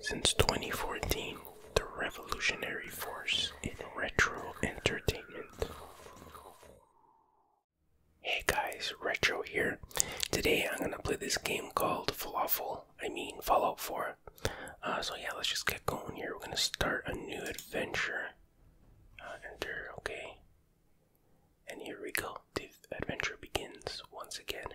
Since 2014, the revolutionary force in retro entertainment. Hey guys, Retro here. Today I'm gonna play this game called Fallout. I mean Fallout 4. Uh, so yeah, let's just get going here. We're gonna start a new adventure. Uh, enter, okay. And here we go. The adventure begins once again.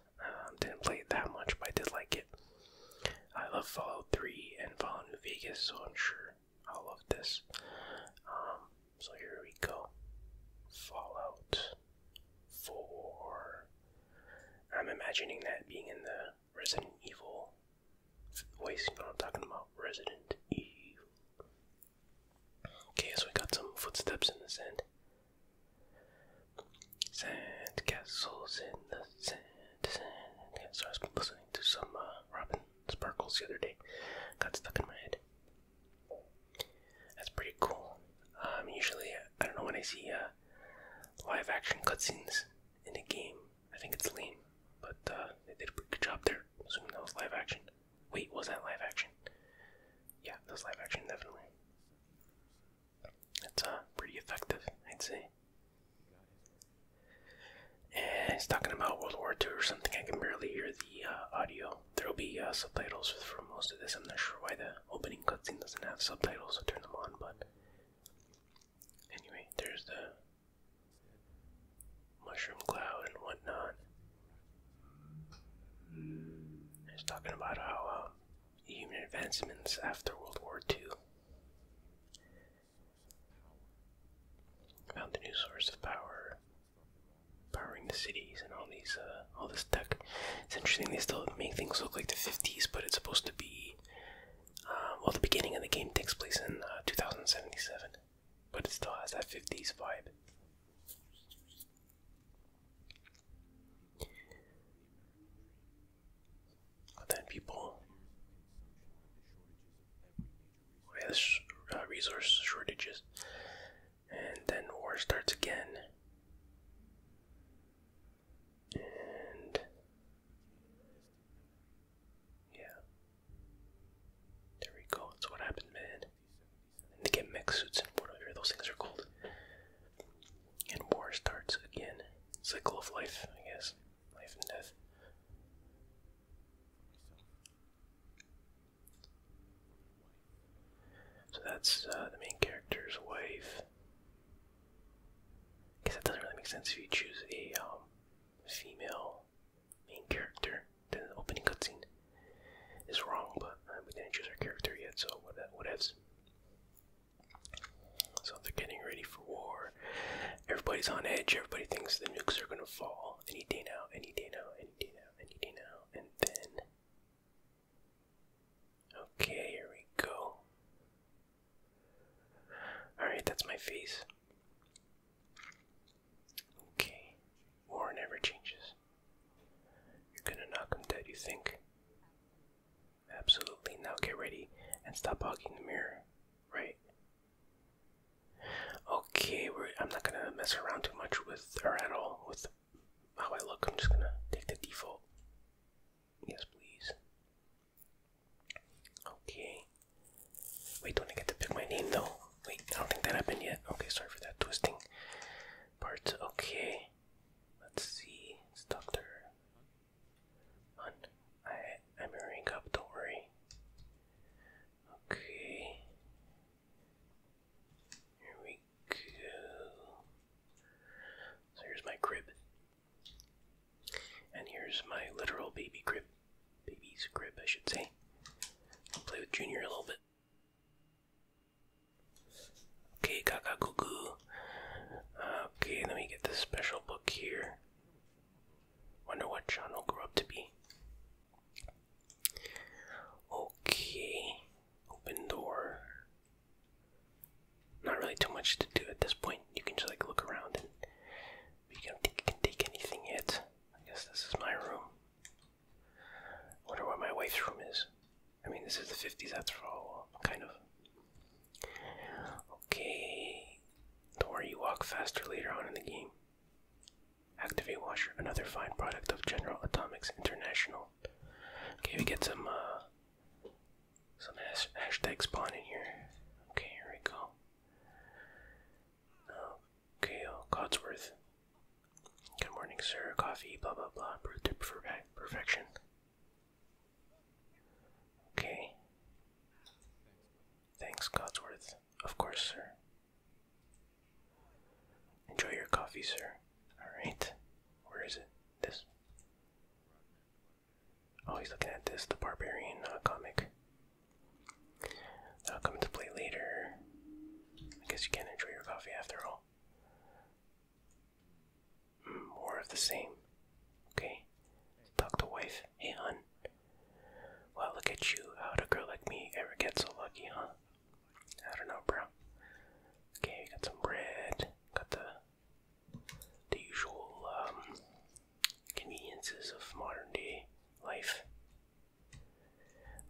it. Um, didn't play it that much, but I did like it. I love Fallout 3 and Fallout New Vegas, so I'm sure I'll love this. Um, so here we go. Fallout 4. I'm imagining that being in the Resident Evil voice, you know I'm talking about? Resident Evil. Okay, so we got some footsteps in the sand. Sand castles in the sand, sand castles. I was listening to some uh, Robin Sparkles the other day. Got stuck in my head. That's pretty cool. Um, usually, I don't know when I see uh, live action cutscenes in a game. I think it's lame, but uh, they did a pretty good job there. Assuming that was live action. Wait, was that live action? Yeah, that was live action, definitely. That's uh, pretty effective, I'd say. He's talking about World War II or something. I can barely hear the uh, audio. There will be uh, subtitles for most of this. I'm not sure why the opening cutscene doesn't have subtitles, so turn them on. But anyway, there's the mushroom cloud and whatnot. He's talking about how um, human advancements after World War II. Found a new source of power, powering the cities and all these, uh, all this tech. It's interesting. They still make things look like the '50s, but it's supposed to be. Um, well, the beginning of the game takes place in uh, 2077, but it still has that '50s vibe then people uh, resource shortages, and then war starts again. And yeah, there we go. That's what happened, man. they get mech suits and whatever those things are called. And war starts again. Cycle of life, I guess. Life and death. So that's uh, the main character's wife. Cause it doesn't really make sense if you choose a um, female main character. Then the opening cutscene is wrong, but uh, we didn't choose our character yet, so what whatevs. So they're getting ready for war. Everybody's on edge. Everybody thinks the nukes are gonna fall any day now, any day now, any day now, any day now, and then. Okay, here we go. Alright, that's my face. Okay, war never changes. You're gonna knock him dead, you think? Absolutely. Now get ready and stop hogging the mirror, right? Okay, I'm not gonna mess around too much with her at all with how I look. I'm just gonna take the default. Yes, please. Okay. Wait, don't I get to pick my name though? Wait, I don't think that happened yet. Okay, sorry for that twisting part. Okay. Let's see. It's Dr on. I, I'm hurrying up, don't worry. Okay. Here we go. So here's my crib. And here's my literal baby crib. Baby's crib, I should say. I'll play with Junior a little bit. Okay, Kaka Cuckoo. Uh, okay, let me get this special book here. Wonder what John will grow up to be. Okay, open door. Not really too much to do at this point. You can just like look around and you don't think you can take anything yet. I guess this is my room. Wonder what my wife's room is. I mean, this is the 50s after all, kind of. Okay. Don't worry, you walk faster later on in the game. Activate Washer, another fine product of General Atomics International. Okay, we get some, uh, some hashtag spawn in here. Okay, here we go. Okay, oh, Codsworth. Good morning, sir. Coffee, blah blah blah. Brewed to perfection. Okay. Thanks, Godsworth. Of course, sir. Enjoy your coffee, sir. Alright. Where is it? This. Oh, he's looking at this, the Barbarian uh, comic. That'll come into play later. I guess you can enjoy your coffee after all more of the same. Okay? Talk to wife. Hey, hon. Well, look at you. How'd a girl like me ever get so lucky, huh? I don't know, bro. Okay, got some bread. Got the the usual um, conveniences of modern day life.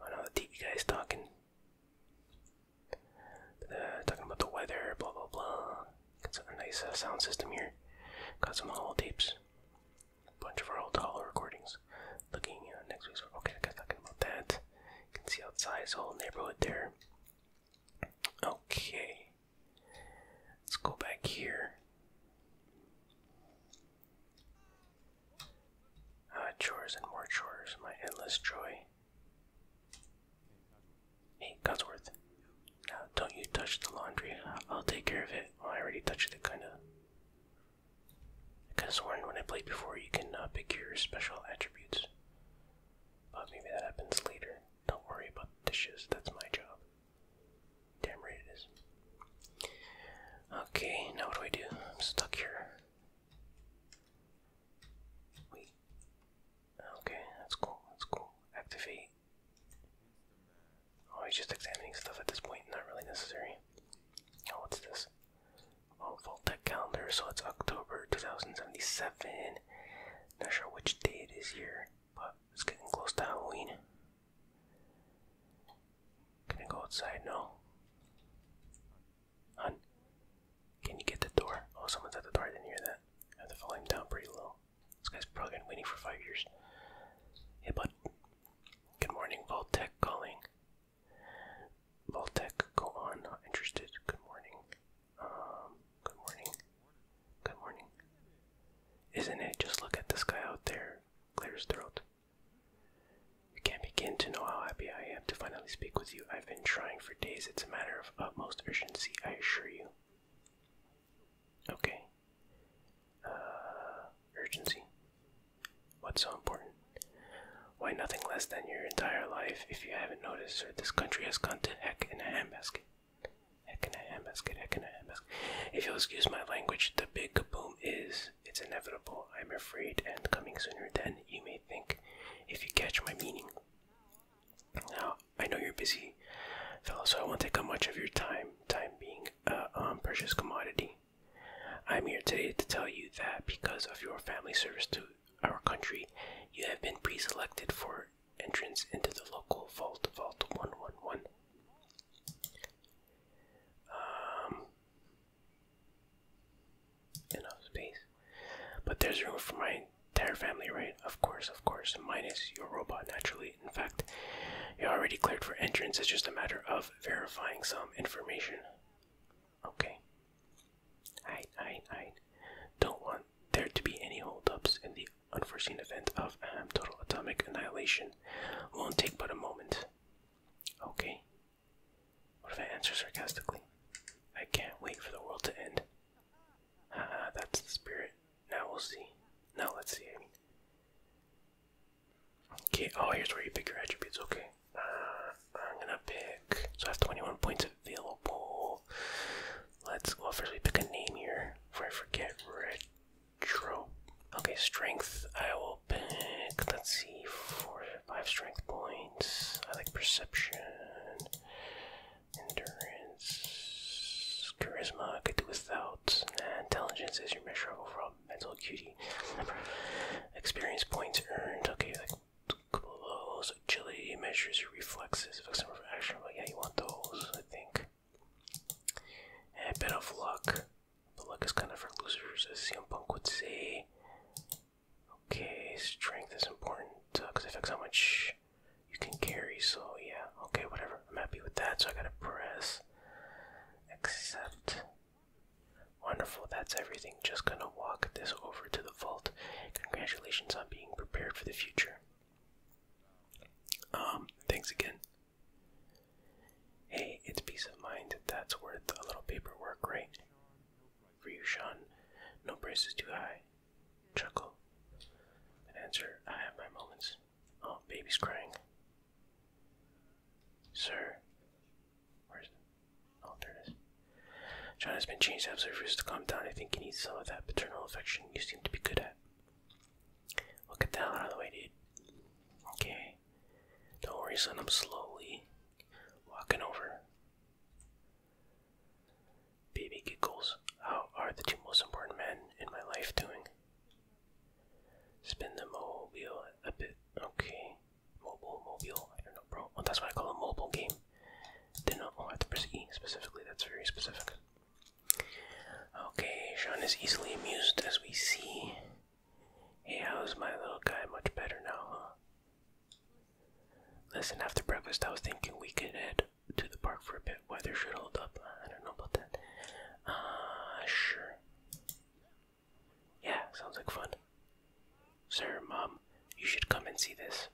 Oh no, the TV guy's talking. Uh, talking about the weather, blah blah blah. Got a nice uh, sound system here. Got some old tapes. A Bunch of our old recordings. Looking uh, next week's. Okay, got talking about that. You can see outside his whole neighborhood there. Okay. Let's go back here. Uh, chores and more chores, my endless joy. Hey, Godsworth, Now, don't you touch the laundry. I'll take care of it. I already touched it, kinda. I could've when I played before you can uh, pick your special attributes. But maybe that happens later. Don't worry about dishes, that's my job. Damn right it is. Okay, now what do I do? I'm stuck here. Wait. Okay, that's cool, that's cool. Activate. Oh, he's just examining stuff at this point, not really necessary. Oh, what's this? Oh, Voltec calendar, so it's October 2077. Not sure which day it is here, but it's getting close to Halloween. Can I go outside? No. Hun? Can you get the door? Oh, someone's at the door. I didn't hear that. I have the down pretty low. This guy's probably been waiting for five years. Hey, bud. Good morning, Voltech calling. Voltech, go on. Not interested. Good morning. Um, good morning. Good morning. Isn't it? Just look at this guy out there. Clear throat. You can't begin to know how happy I am to finally speak with you. I've been trying for days. It's a matter of utmost urgency, I assure you. Okay. Uh, urgency. What's so important? Why nothing less than your entire life, if you haven't noticed, this country has gone to heck in a handbasket. Heck in a handbasket, heck in a handbasket. If you'll excuse my language, the big kaboom is, it's inevitable, I'm afraid, and coming sooner than you may think, if you catch my meaning. Now, I know you're busy, fellow, so I won't take up much of your time, time being a uh, um, precious commodity. I'm here today to tell you that because of your family service to our country, you have been pre selected for entrance into the local vault, Vault 111. Um, enough space. But there's room for my their family, right? Of course, of course. Minus your robot, naturally. In fact, you're already cleared for entrance. It's just a matter of verifying some information. Okay. I, I, I don't want there to be any holdups in the unforeseen event of um, total atomic annihilation. Won't take but a moment. Okay. What if I answer sarcastically? I can't wait for the world to end. Ah, that's the spirit. Now we'll see. Now let's see. I mean. Okay. Oh, here's where you pick your attributes. Okay. Uh, I'm gonna pick. So I have 21 points available. Let's well first we pick a name here. Before I forget, retro. Okay, strength. I will pick. Let's see, four, five strength points. I like perception. Endurance. Charisma, I could do without. intelligence is your measure of overall mental acuity. Experience points earned. Okay, a couple of those. Agility measures your reflexes. Effects number for action. But yeah, you want those, I think. a bit of luck. The luck is kind of for losers, as CM Punk would say. Okay, strength is important because uh, it affects how much you can carry. So yeah, okay, whatever. I'm happy with that. So I gotta press accept. Wonderful, that's everything. Just gonna walk this over to the vault. Congratulations on being prepared for the future. Um, thanks again. Hey, it's peace of mind. That's worth a little paperwork, right? For you, Sean. No price is too high. Chuckle. And answer, I have my moments. Oh, baby's crying. Sir. Where's the... Oh, John has been changed. I absolutely to calm down. I think he needs some of that paternal affection you seem to be good at. Well, get the out of the way, dude. Okay. Don't worry, son. I'm slowly walking over. Baby Giggles, how are the two most important men in my life doing? Spin the mobile a bit. Okay. Mobile, mobile. I don't know, bro. Oh, that's what I call a mobile game. Did not know I have to press specifically. That's very specific. Okay, Sean is easily amused as we see. Hey, how's my little guy? Much better now, huh? Listen, after breakfast, I was thinking we could head to the park for a bit. Weather should hold up. I don't know about that. Ah, sure. Yeah, sounds like fun. Sir, Mom, you should come and see this.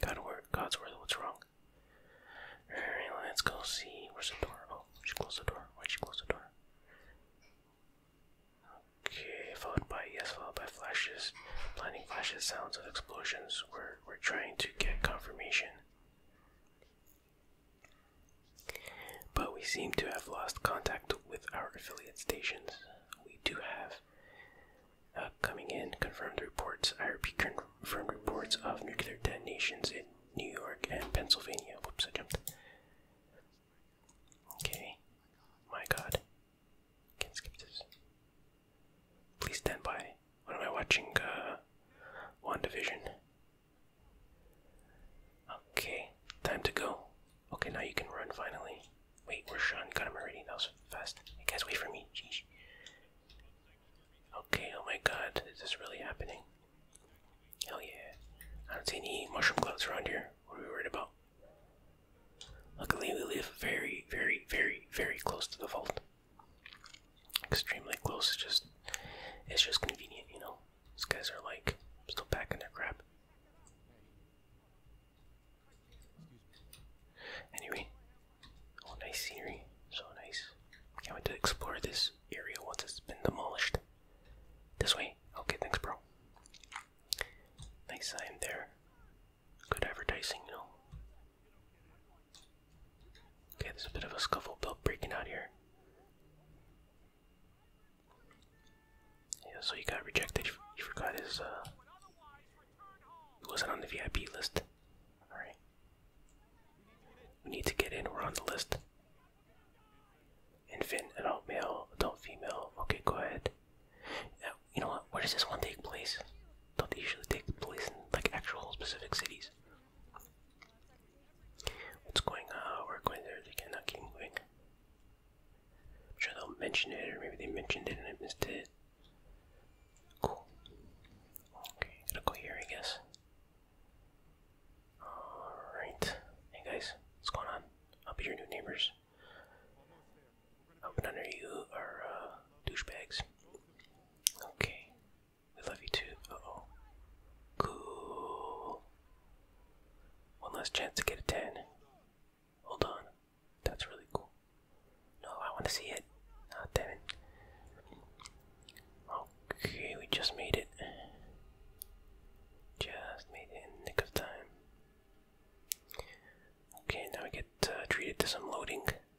God's word. God's word, what's wrong? Alright, let's go see. Where's the door? Oh, she closed the door. Why'd she close the door? Okay, followed by yes, followed by flashes, blinding flashes, sounds of explosions. We're we're trying to get confirmation but we seem to have lost contact with our affiliate stations. We do have uh, coming in confirmed reports, IRP confirmed reports of nuclear detonations in New York and Pennsylvania. Whoops, I jumped. Okay. My god. Can't skip this. Please stand by. What am I watching? One uh, division. Okay, time to go. Okay, now you can run finally. Wait, we where's Sean? Got him already. That was fast. Hey guys, wait for me. Jeez. Okay, oh my god, is this really happening? Hell yeah. I don't see any mushroom clouds around here. What are we worried about? Luckily, we live very, very, very, very close to the vault extremely close. It's just it's just convenient, you know. These guys are like still packing their crap. Anyway, oh nice scenery, so nice. Can't wait to explore this area once it's been demolished. This way, okay, thanks, bro. Nice sign there. Good advertising, you know. Okay, there's a bit of a scuffle built breaking out here. Yeah, so he got rejected. He forgot his, uh. He wasn't on the VIP list. Alright. We need to get in, we're on the list. Infant, adult male, adult female. Okay, go ahead. you know what? Where does this one take place? Don't they usually take place in like actual specific cities? What's going on? We're going there again, not King Wing. I'm sure they'll mention it, or maybe they mentioned it and I missed it. Cool. Okay, gotta go here, I guess. Alright. Hey guys, what's going on? I'll be your new neighbors. I hope none of you are uh, douchebags. Okay, we love you too. oh. Cool. One last chance to get a 10. Hold on. That's really cool. No, I want to see it. Ah, damn it. Okay, we just made it. Just made it in the nick of time. Okay, now we get uh, treated to some loading.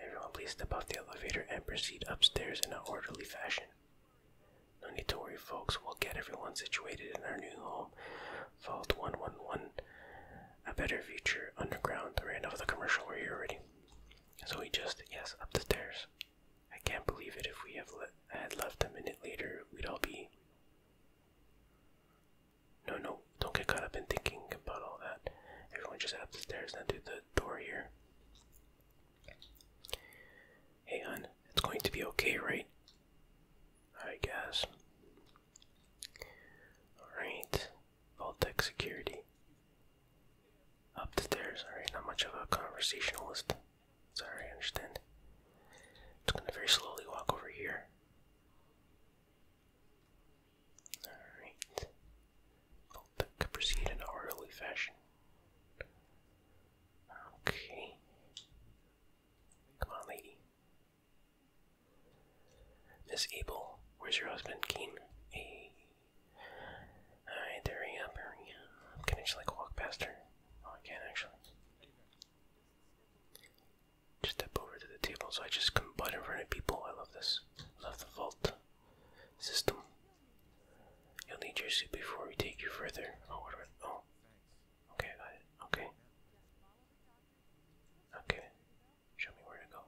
Everyone, please step off the elevator and proceed upstairs in an orderly fashion. No need to worry, folks. We'll get everyone situated in our new home, Vault 111, a better future underground. Right now, the commercial we're here already. So we just, yes, up the stairs. I can't believe it. If we have had left a minute later, we'd all be. No, no, don't get caught up in thinking about all that. Everyone just head up the stairs and through the door here. Hey, hon, it's going to be okay, right? I guess. Alright, Voltec security. Up the stairs, alright, not much of a conversationalist. Sorry, I understand. It's gonna very slowly walk over here. Alright. That could proceed in orderly fashion. Okay. Come on, lady. Miss Abel, where's your husband, Keen? Hey. Alright, there he up, Can I just like walk past her? Oh I can not actually. Just step over to the table so I just can butt in front of people. I love this. Love the vault system. You'll need your suit before we take you further. Oh, oh. Okay, Okay. Okay. Show me where to go.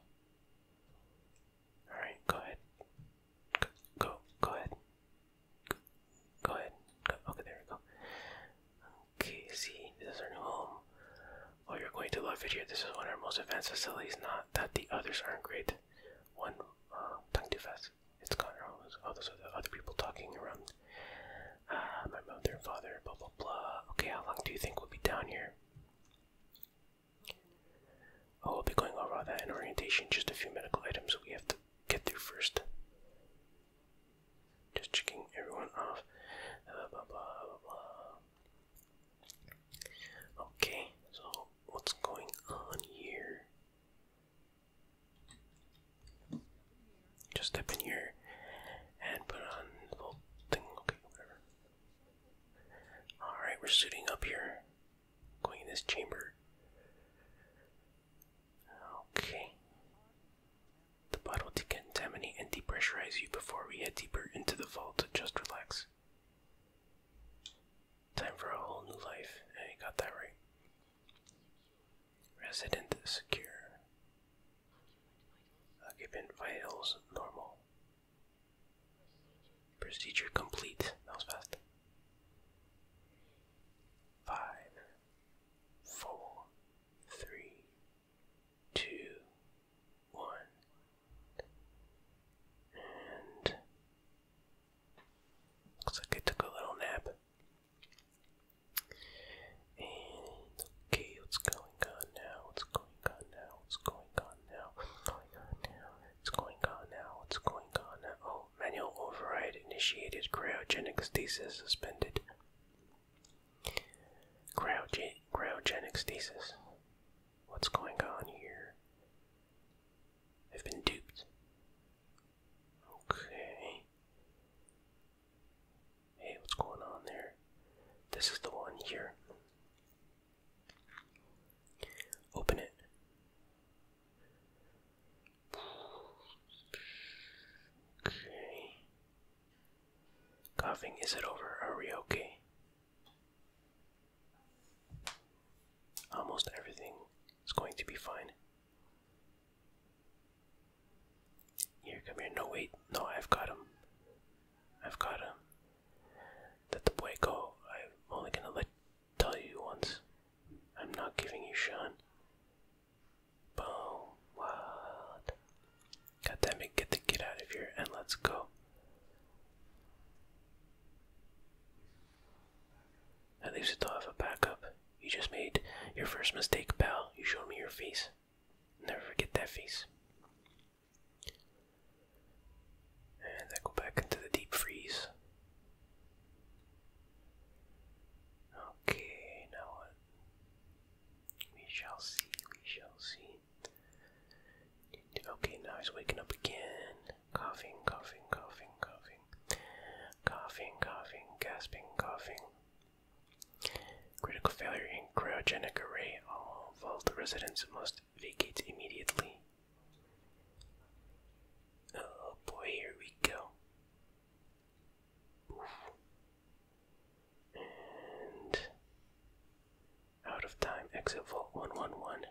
Alright, go ahead. Go, go, ahead. Go, ahead. okay, there we go. Okay, see, this is our new home. Oh, you're going to love it here. This is one of our most advanced facilities. Not that the others aren't great, one uh, talking too fast. It's gone wrong. Oh, those are other people talking around. Uh, my mother and father, blah blah blah. Okay, how long do you think we'll be down here? Oh, we'll be going over all that in orientation. Just a few medical items we have to get through first. Just checking everyone off. blah blah blah blah. Okay, so what's going on here? Just step in here and put on the little thing. Okay, whatever. Alright, we're suiting up here. Going in this chamber. Okay. The bottle decontaminate and depressurize you before we head deeper into the vault. Just relax. Time for a whole new life. And he got that right. Resident secure. Occupant vitals normal. Procedure complete. That was fast. Five, four, three, two, one, and Looks like I took a little nap. okay, what's going on now? What's going on now? What's going on now? going on now? What's going on now? What's going on now? Oh, manual override initiated. Cryogenic stasis suspended. Cryogen cryogenic stasis. What's going on here? have been duped. Okay. Hey, what's going on there? This is the one here. Open it. Okay. Coughing, is it over? Are we okay? Almost everything it's going to be fine. Here, come here. No, wait. No, I've got him. I've got him. Let the boy go. I'm only gonna let tell you once. I'm not giving you Sean. Boom. What? God damn it, get the kid out of here and let's go. At least you thought of a backup. You just made your first mistake, pal. You showed me your face. Never forget that face. And I go back into the deep freeze. Okay, now We shall see, we shall see. Okay, now he's waking up again. Coughing, coughing, coughing, coughing coughing, coughing, gasping, coughing. Critical failure in cryogenic array. All vault residents must vacate immediately. Oh boy, here we go. And out of time, exit vault 111.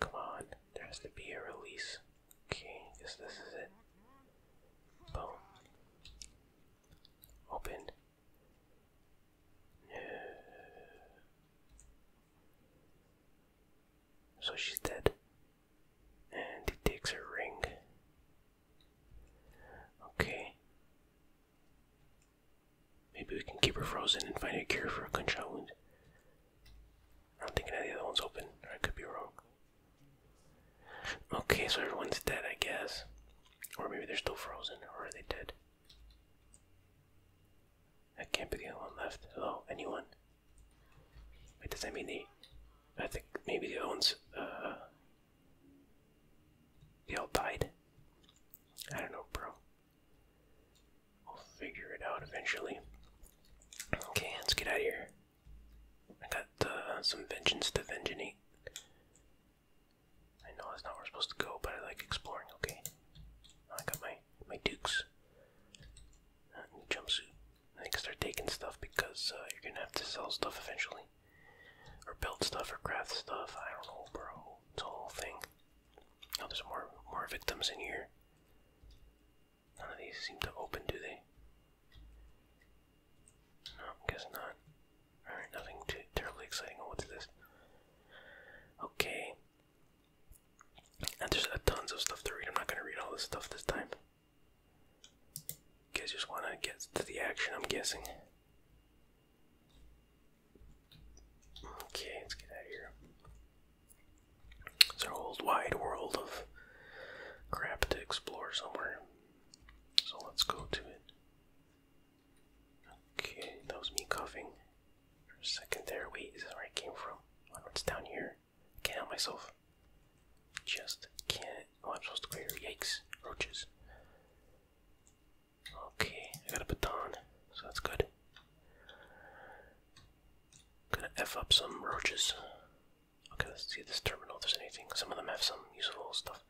Come on, there has to be a release. Okay, I this is it. Boom. Open. So she's dead. And he takes her ring. Okay. Maybe we can keep her frozen and find a cure for a gunshot wound. I don't think any of the other one's open, I could be wrong. Okay, so everyone's dead, I guess. Or maybe they're still frozen, or are they dead? I can't be the only one left. Hello, anyone? Wait, does that mean the... I think maybe the other ones, uh... They all died? I don't know, bro. We'll figure it out eventually. Okay, let's get out of here. I got some vengeance to vengeance. I know that's not where we're supposed to go, but I like exploring. Okay, I got my my dukes. Uh, new jumpsuit. I can start taking stuff because uh, you're gonna have to sell stuff eventually, or build stuff, or craft stuff. I don't know, bro. It's a whole thing. Oh, there's more more victims in here. None of these seem to open, do they? No, guess not. Alright, nothing too terribly exciting. what's this? Okay. And there's tons of stuff to read. I'm not gonna read all this stuff this time. You guys just wanna get to the action, I'm guessing. Okay, let's get out of here. It's a whole wide world of crap to explore somewhere. So let's go to it. Okay, that was me coughing for a second there. Wait, is where I came from? Oh, I down here. can't help myself. Just can't. Oh, I'm supposed to go here. Yikes. Roaches. Okay, I got a baton, so that's good. Gonna F up some roaches. Okay, let's see this terminal if there's anything. Some of them have some useful stuff.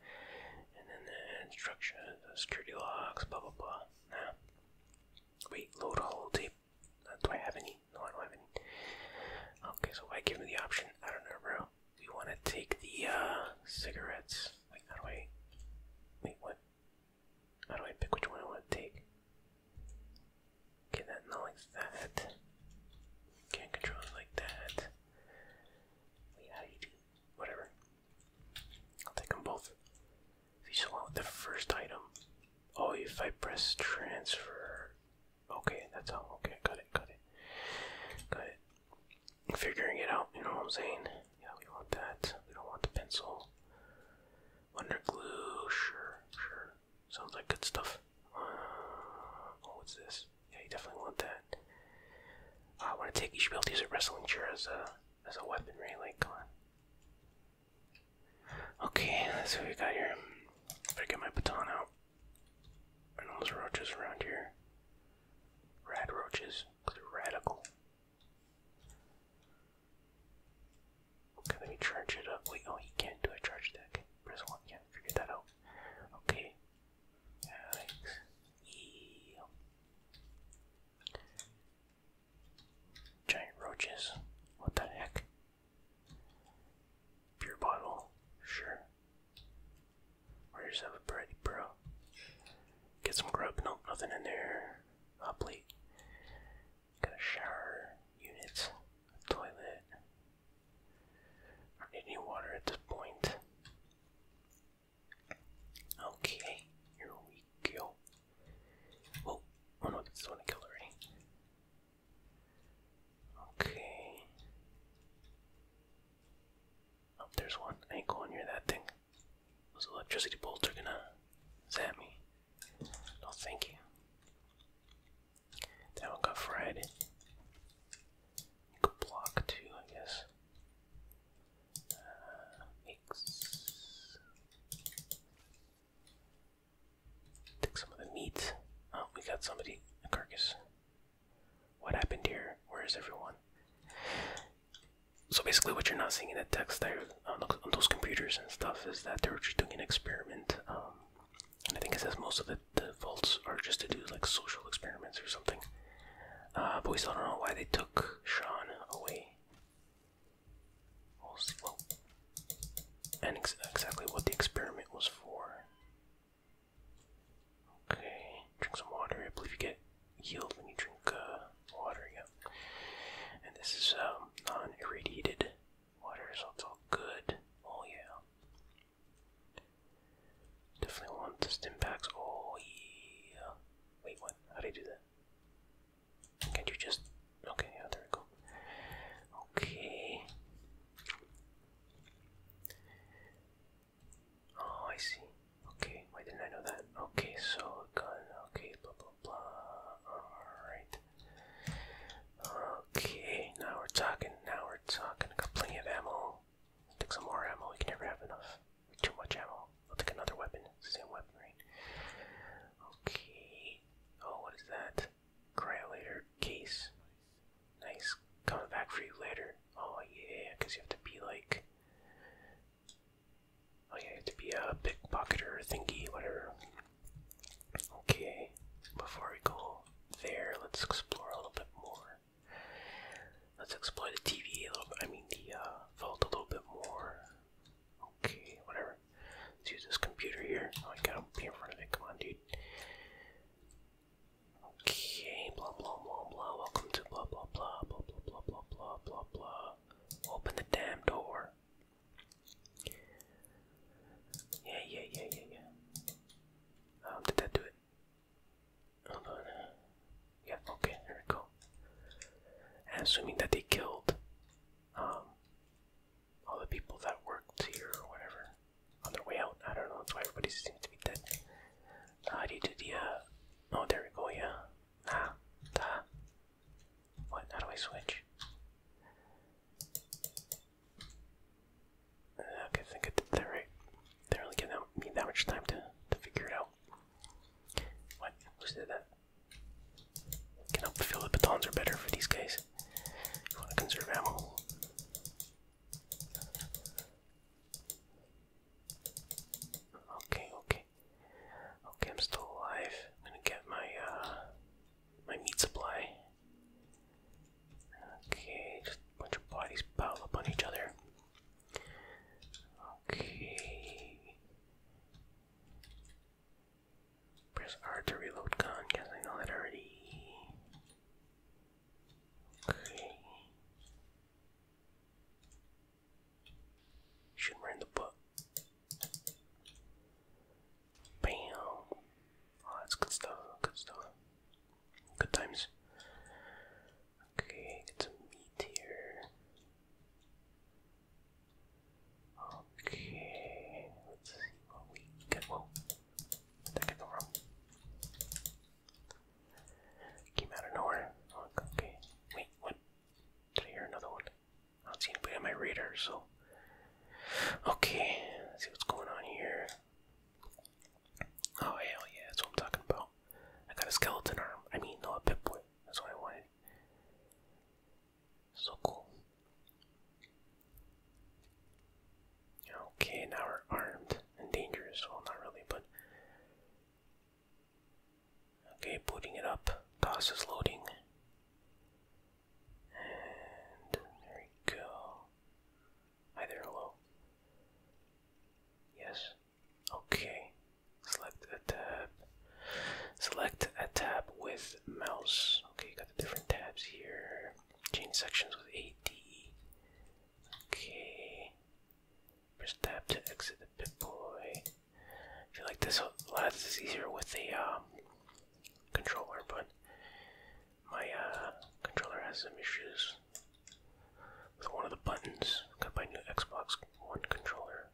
And then the instruction, security logs, blah blah blah. Nah. Wait, load all tape. Uh, do I have any? No, I don't have any. Okay, so why give me the option? I don't know, bro. We want to take the uh, cigarettes. Wait, how do I? Wait, what? How do I pick which one I want to take? Okay, that not like that. Can't control like that. Wait, how do Whatever. I'll take them both. If the first item. Oh, if I press transfer. Okay, that's all. Okay, got it, got it, got it. Figuring it out, you know what I'm saying? Yeah, we want that. We don't want the pencil. Wonder glue, sure, sure. Sounds like good stuff. Uh, what's this? Yeah, you definitely want that. I want to take. You should be able to use a wrestling chair as a as a weaponry. Like, come on. Okay, that's what we got here. Better get my baton out. And all those roaches around here. Rad roaches, because they're radical. Okay, let me charge it up. Wait, oh, he can't do a charge deck. Press 1, yeah, figure that out. Okay. Alex. Yeah. Giant roaches. What the heck? Pure bottle. Sure. Or yourself a bread, bro. Get some grub. Nope, nothing in there. Hot plate. Got a shower unit, a toilet. need any water at this point. Okay, here we go. Oh, oh no, this one killed already. Okay. Oh, there's one. ankle on going that thing. Those electricity bolts are gonna zap me. No, thank you. That one got fried. You could block too, I guess. Uh, Take some of the meat. Oh, we got somebody. A carcass. What happened here? Where is everyone? So basically, what you're not seeing in the text there on, those computers and stuff is that they are just doing an experiment. Um, I think it says most of the, the faults are just to do like social experiments or something. Uh, but we still don't know why they took Sean away. We'll see. and exactly what the experiment was for. Okay, drink some water. I believe you get healed when you drink uh, water, yeah. And this is um, non irradiated Water's also good. Oh yeah. Definitely want the stim packs. Oh yeah. Wait, what? How do I do that? Can't you just? Okay, yeah, there we go. Okay. Oh, I see. Okay, why didn't I know that? Okay, so gun. Okay, blah blah blah. All right. Okay, now we're talking, now we're talking. I got plenty of ammo. Let's take some more ammo, we can never have enough. Too much ammo. I'll take another weapon. It's the same weapon, right? Okay. Oh, what is that? Cryolator case. Nice. Coming back for you later. Oh, yeah, because you have to be like. Oh, yeah, you have to be a pickpocketer thingy, whatever. Okay, before we go there, let's explore a little bit more. Let's explore the TV a little bit, I mean the uh, vault a little bit more. Okay, whatever. Let's use this computer here. Oh, I gotta be in front of it, come on dude. Okay, blah blah blah blah, welcome to blah blah blah blah blah blah blah blah blah. Open the damn door. Yeah, yeah, yeah, yeah, yeah. Um, did that do it? Hold on. Yeah, okay, there we go. And assuming that they killed um all the people that worked here or whatever on their way out. I don't know, that's why everybody seems to be dead. How uh, do you do the uh oh there we go, yeah. Ah, da. What? How do I switch? Okay, think I did that right. They really give me that much time to, to figure it out. What? Who's did that? Can help feel the batons are better for these guys. want to conserve ammo. Okay, okay. Okay, I'm still alive. I'm gonna get my uh my meat supply. Okay, just bunch of bodies pile up on each other. Okay. Press R to reload gun. Guess I know that already. Okay. Shoot her in the butt. Bam! Oh, that's good stuff, good stuff. Good times. Okay, get some meat Okay, let's see what we get. Whoa, that could go Came out of nowhere. Oh, okay, wait, what? Did I hear another one? I don't see anybody on my radar, so Okay, let's see what's going on here. Oh, hell yeah, that's what I'm talking about. I got a skeleton arm. I mean, no, a pip boy. That's what I wanted. So cool. Okay, now we're armed and dangerous. Well, not really, but. Okay, booting it up. DOS is loading. And there you go. Hi there, hello. Yes. Okay. Select a tab. Select a tab with mouse. Okay, got the different tabs here. Change sections with A D. Okay. Press tab to exit the Pip I feel like this a lot of this is easier with a um, controller, but my uh, controller has some issues with one of the buttons. Got my new Xbox One controller.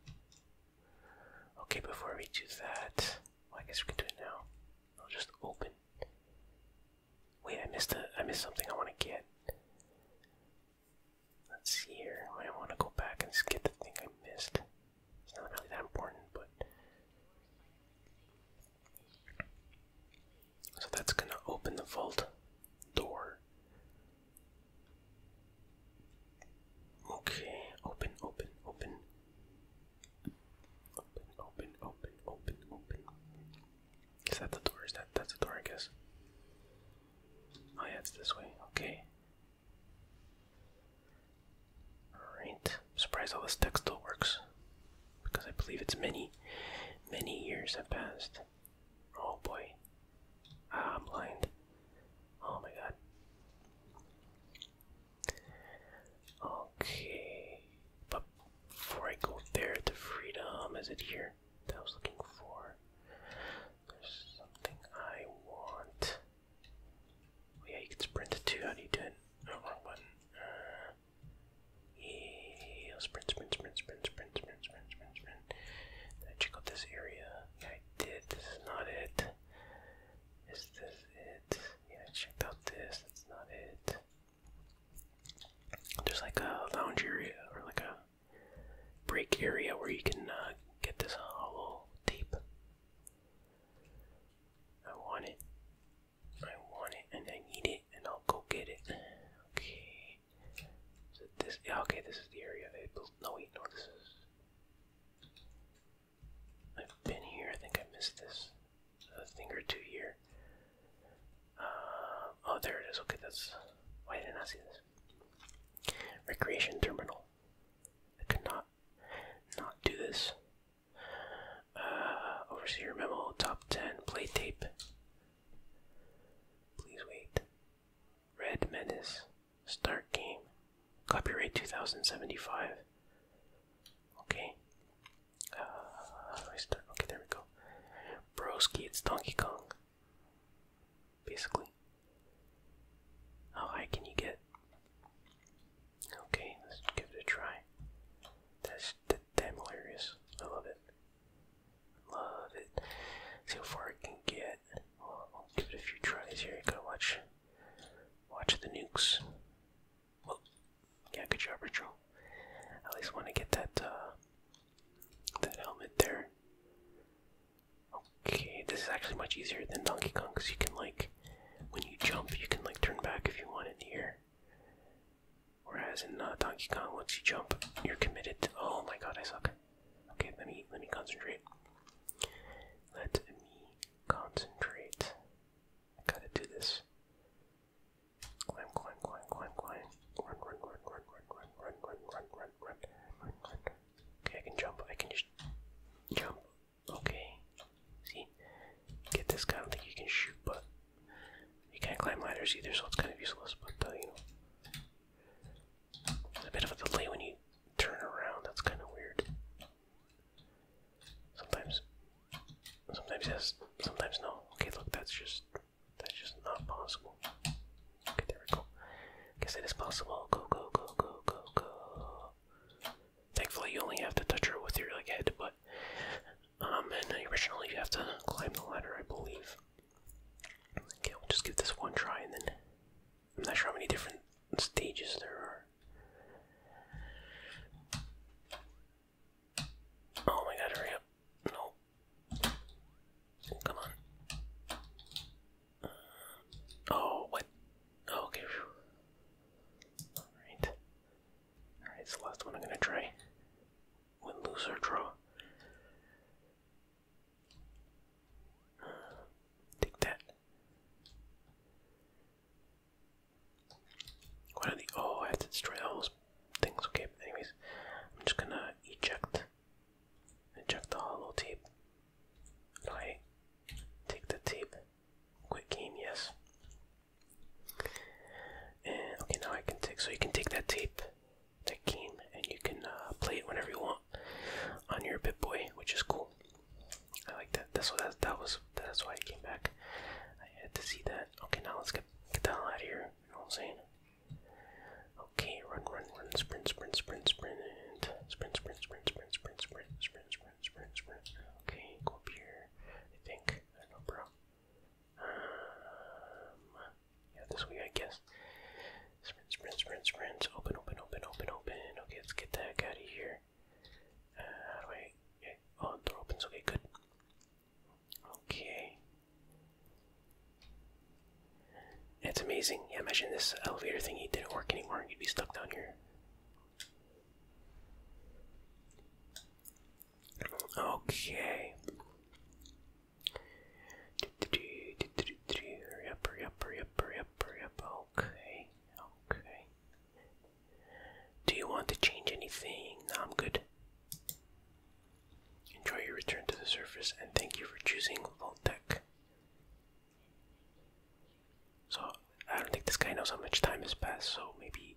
Okay, before we do that, I guess we can do it now. I'll just open. Wait, I missed a, I missed something I want to get. Let's see here. I want to go back and skip the thing I missed. It's not really that important, but. So that's gonna open the vault door. Okay, open, open, open. Open, open, open, open, open. Is that the door? Is that that's the door I guess? Oh yeah, it's this way. Okay. Alright. I'm surprised all this tech still works. Because I believe it's many, many years have passed. Oh boy. Ah, I'm blind. Oh my god. Okay. But before I go there to freedom, is it here that I was looking for? There's something I want. Oh yeah, you can sprint to two. How do you do it? Oh, wrong button. Uh, yeah, sprint, sprint, sprint, sprint, sprint, sprint, sprint, sprint, sprint. Did I check out this area? Yeah, I did. This is not it. Is this it? Yeah, I checked out this. That's not it. There's like a lounge area or like a break area where you can uh, get this hollow tape. I want it. I want it and I need it and I'll go get it. Okay. So this yeah, okay, this is the area they built no wait, no this is I've been here, I think I missed this a thing or two here. Uh, oh there it is, okay that's why did I not see this? Recreation terminal. I cannot, not do this. Uh, overseer memo, top 10, play tape. Please wait. Red Menace, start game. Copyright 2075. Okay. Uh, start? Okay, there we go. Broski, it's Donkey Kong. Basically. How high can you get? Okay, let's give it a try. That's damn hilarious. I love it. Love it. See how far I can get. I'll give it a few tries here. You gotta watch, watch the nukes. Well, yeah, good job, Rachel. At least want to get that uh, that helmet there. Okay, this is actually much easier than Donkey Kong because you can like, when you jump, you can like turn back if you want in here. Whereas in Donkey Kong, once you jump, you're committed. To, oh my God, I suck. Okay, let me let me concentrate. Let me concentrate. I gotta do this. Climb, climb, climb, climb, climb. run, run, run, run, run, run, run, run, run, run, run. Okay, I can jump. I can just jump. Okay. See? Get this guy, I don't think you can shoot, but you can't climb ladders either, so it's kind of useless, but, uh, you know. There's a bit of a delay when you turn around, that's kind of weird. Sometimes, sometimes yes, sometimes no. Okay, look, that's just, that's just not possible. Okay, there we go. Guess it is possible. Go, go, go, go, go, go. Thankfully, you only have to touch her with your, like, head, but um and originally you have to climb the ladder I believe. Okay, we'll just give this one try and then I'm not sure how many different stages there are. Oh my god, hurry up. No. Come on. oh, what? okay. Alright. Alright, so the last one I'm gonna try. Win, lose, or draw. Uh, take that. What are the. Oh, I had to destroy those things. Okay, anyways, I'm just gonna eject. Eject the hollow tape. Okay. Take the tape. Quick game, yes. And okay, now I can take. So you can take that tape, that game, and you can uh, play it whenever you want on your Bit Boy, which is cool. I like that. That's what that, that was. That's why I came back. I had to see that. Okay, now let's get get the hell out of here. You know what I'm saying? Okay, run, run, run, sprint, sprint, sprint, sprint, sprint, sprint, sprint, sprint, sprint, sprint, sprint, sprint, sprint, sprint. Okay, go up here. I think I don't know, bro. Um, yeah, this way, I guess. Sprint, sprint, sprint, sprint. Open, open, open, open, open. Okay, let's get the heck out of here. Uh, how do I. Okay. Oh, door opens. Okay, good. Okay. It's amazing. Yeah, imagine this elevator thingy didn't work anymore you'd be stuck down here. Okay. Hurry up, hurry up, hurry up, Okay, okay. Do you want to change anything? No, I'm good. Enjoy your return to the surface and thank you for choosing Voltec. So, I don't think this guy knows how much time has passed, so maybe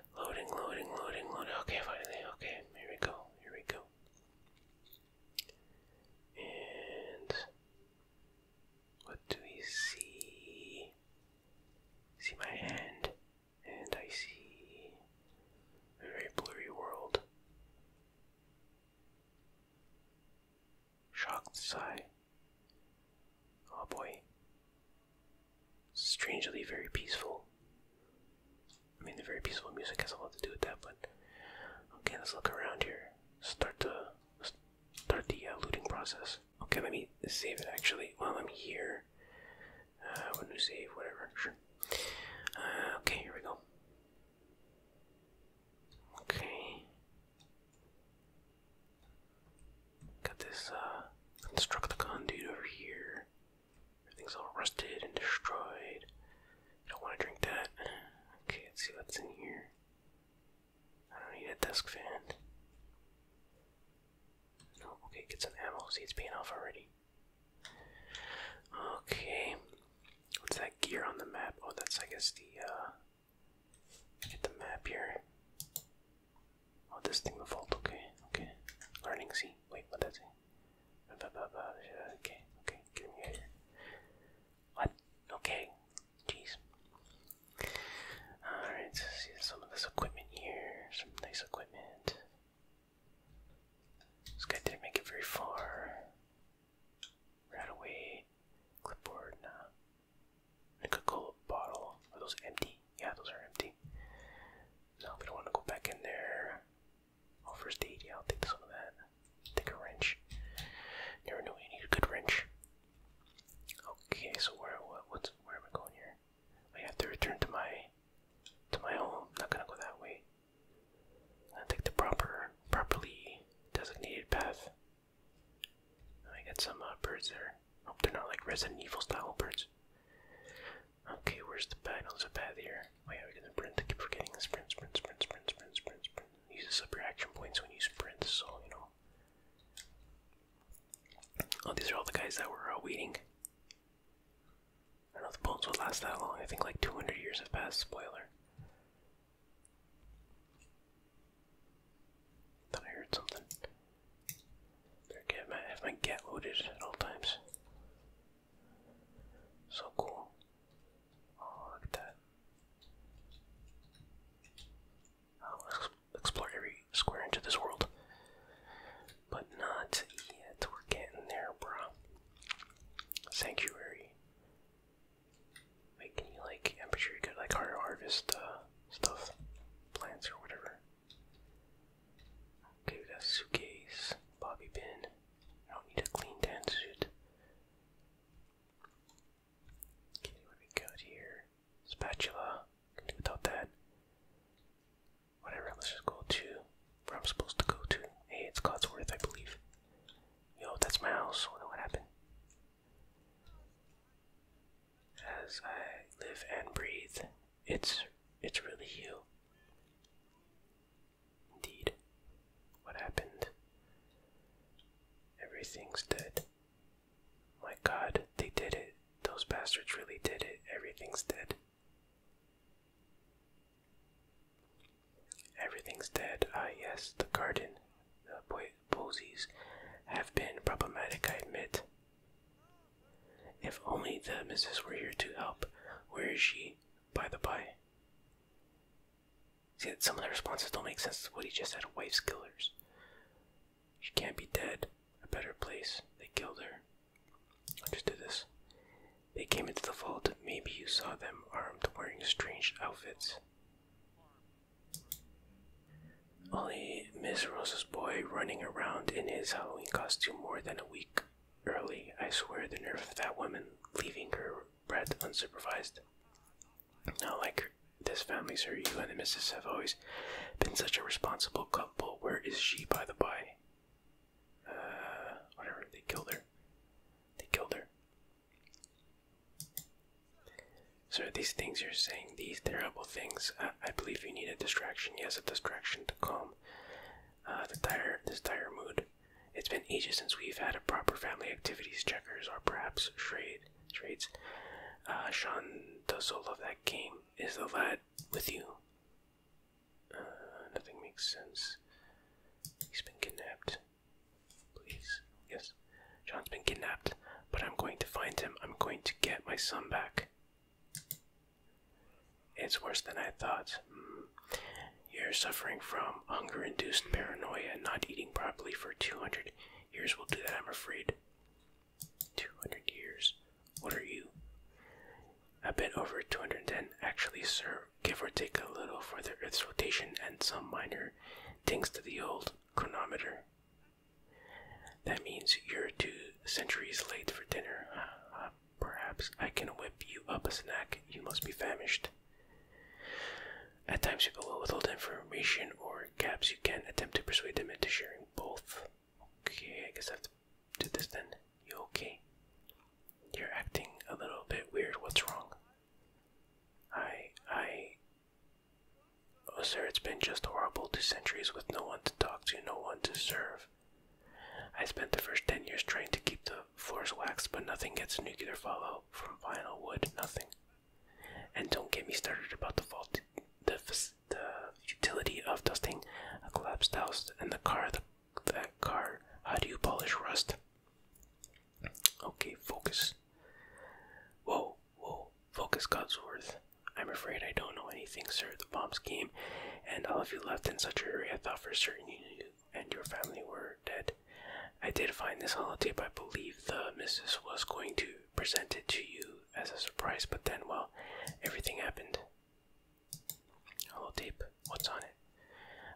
Loading, loading, loading, loading. Okay, finally. Okay, here we go. Here we go. And what do we see? See my hand, and I see a very blurry world. Shocked sigh. Oh boy strangely very peaceful. I mean, the very peaceful music has a lot to do with that, but okay, let's look around here. Start the start the uh, looting process. Okay, let me save it actually while I'm here. Uh, when we save, whatever, sure. Uh, okay, here we go. Okay. Got this, uh, Constructicon dude over here. Everything's all rusted and destroyed. I don't want to drink that. Okay, let's see what's in here. I don't need a desk fan. No, okay, get some ammo. See, it's paying off already. Okay. What's that gear on the map? Oh, that's, I guess, the, uh. Get the map here. Oh, this thing will fold. Okay, okay. Learning, see? Wait, what does it? Okay, okay, What? Okay, jeez. Alright, see some of this equipment here. Some nice equipment. This guy didn't make it very far. Right away. Clipboard, nah. coca bottle. those empty? Yeah, those are empty. Now we don't want to go back in there. Oh, first aid, yeah, I'll take some of that. Take a wrench. Never knew you need a good wrench. Okay, so where what, what's where am I going here? I have to return to my to my home. I'm not gonna go that way. I take the proper properly designated path. Oh, I get some uh, birds there. Hope they're not like Resident Evil style birds. Okay, where's the path? There's a path here. Oh yeah, we can sprint. I keep forgetting the sprint, sprint, sprint, sprint, sprint, sprint, sprint. Uses up your action points when you sprint, so you know. Oh, these are all the guys that were uh, waiting. I don't know the bones would last that long. I think like 200 years have passed. Spoiler. Thought I heard something. get my get loaded at all times. So cool. Oh, look at that. I'll explore every square inch of this world. But not yet. We're getting there, bro. Sanctuary. Wait, can you, like, I'm sure you like, harvest uh, stuff, plants, or whatever. Okay, we got suitcase, bobby pin. I don't need a clean dance suit. Okay, what do we got here? Spatula. Can do without that. Whatever, let's just go to where I'm supposed to go to. Hey, it's Codsworth, I believe. Yo, that's my house. what happened. As I live and breathe, it's it's really you. Indeed, what happened? Everything's dead. My god, they did it. Those bastards really did it. Everything's dead. Everything's dead. Ah, yes, the garden. The po posies have been problematic, I admit. If only the misses were here to help. Where is she? great, by the by. See, some of the responses don't make sense to what he just said. Wife's killers. She can't be dead. A better place. They killed her. i just do this. They came into the vault. Maybe you saw them armed, wearing strange outfits. Only Miss Rosa's boy running around in his Halloween costume more than a week early. I swear the nerve of that woman leaving her breath unsupervised. Now, like this family, sir. You and the missus have always been such a responsible couple. Where is she, by the by? Uh, whatever. They killed her. They killed her. Sir, these things you're saying, these terrible things, I believe you need a distraction. Yes, a distraction to calm uh, the dire this dire mood. It's been ages since we've had a proper family activities checkers or perhaps trade trades. Uh, Sean does so of that game. Is the lad with you? Uh, nothing makes sense. He's been kidnapped. Please, yes. Sean's been kidnapped, but I'm going to find him. I'm going to get my son back. It's worse than I thought. Mm. You're suffering from hunger induced paranoia, not eating properly for 200 years will do that, I'm afraid. 200 years? What are you? A bit over 210, actually, sir, give or take a little for the Earth's rotation and some minor things to the old chronometer. That means you're two centuries late for dinner. Perhaps I can whip you up a snack. You must be famished. At times, people will withhold information or gaps. You can attempt to persuade them into sharing both. Okay, I guess I have to do this then. You okay? You're acting a little bit weird. What's wrong? I. I. Oh, sir, it's been just horrible. Two centuries with no one to talk to, no one to serve. I spent the first ten years trying to keep the floors waxed, but nothing gets a nuclear fallout from vinyl wood, nothing. And don't get me started about the fault, futility of dusting a collapsed house and the car, that car. How do you polish rust? Okay, focus. Whoa, whoa, focus, Godsworth. I'm afraid I don't know anything, sir. The bombs came, and all of you left in such a hurry. I thought for certain you knew and your family were dead. I did find this holotape. I believe the missus was going to present it to you as a surprise, but then, well, everything happened. Holotape, what's on it?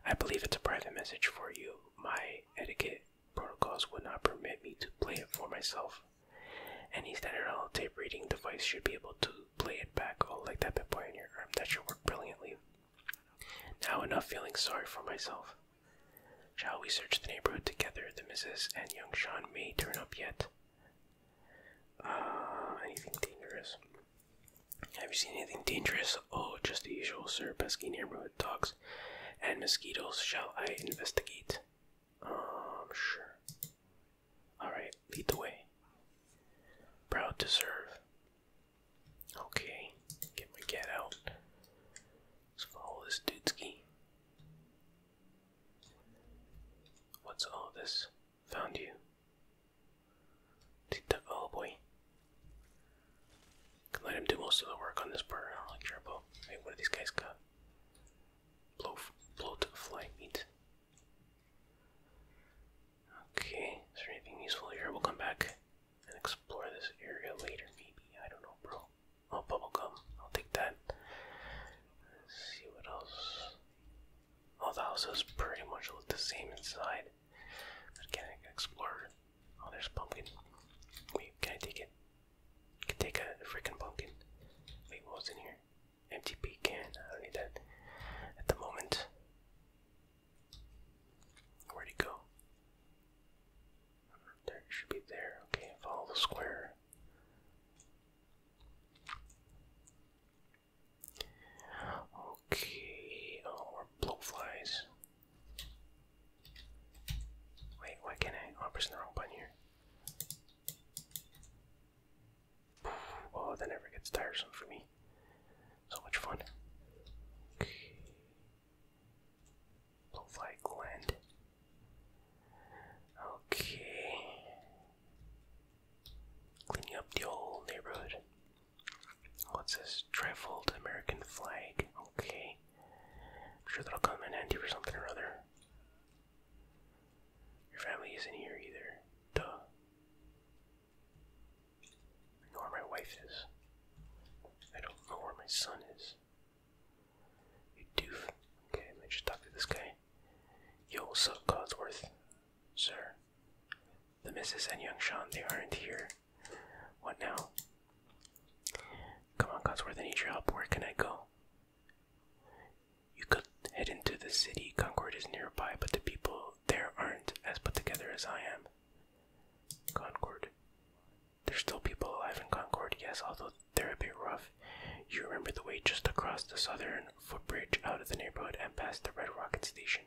I believe it's a private message for you. My etiquette protocols would not permit me to play it for myself. Any standard holotape reading device should be able to play it back. Oh, like that bit boy in your arm. That should work brilliantly. Now enough feeling sorry for myself. Shall we search the neighborhood together? The missus and young Sean may turn up yet. Ah, anything dangerous? Have you seen anything dangerous? Oh, just the usual, sir. Pesky neighborhood dogs and mosquitoes. Shall I investigate? Um, sure. Alright, lead the way. Proud to serve. Okay, get my cat out. Let's follow this dudeski. What's all this? Found you. Oh boy. Can let him do most of the work on this part. I don't really care Hey, what do these guys got? Blow, bloat, fly meat. Okay, is there anything useful here? We'll come back and explore this area later, maybe. I don't know, bro. Oh, bubblegum. I'll take that. Let's see what else. Oh, the houses pretty much look the same inside. But can I can explore. Oh, there's pumpkin. Wait, can I take it? I can take a freaking pumpkin. Wait, what's in here? Empty pecan. I need that at the moment. Where'd he go? There should be there. Okay, follow the square. Okay, oh, blowflies. Wait, why can't I? Oh, I'm pressing the wrong button here. Oh, that never gets tiresome for me. So much fun. Okay. Blowfly gland. Okay. Cleaning up the old neighborhood. What's this? trifold American flag. Okay. I'm sure that'll come in handy for something or other. Your family isn't here either. Duh. I know where my wife is. I don't know where my son is. You doof. Okay, let me just talk to this guy. Yo, what's Godsworth, Sir. The missus and young Sean, they aren't here. What now? Come on, Godsworth, I need your help. Where can I go? You could head into the city. Concord is nearby, but the people there aren't as put together as I am. Concord. There's still people alive in Concord, yes, although they're a bit rough. You remember the way just across the southern footbridge out of the neighborhood and past the Red Rocket Station.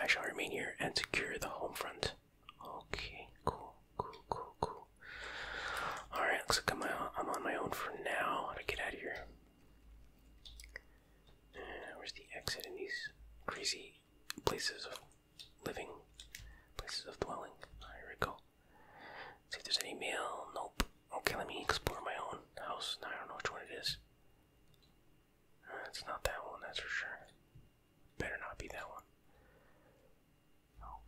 I shall remain here and secure the home front. Okay, cool, cool, cool, cool. Alright, looks like uh, I'm, on my own for now. How to get out of here? Uh, where's the exit in these crazy places of living, places of dwelling? I ah, here go. see if there's any mail. Nope. Okay, let me explore my own house. I don't know which one it is. Uh, it's not that one, that's for sure. Better not be that one.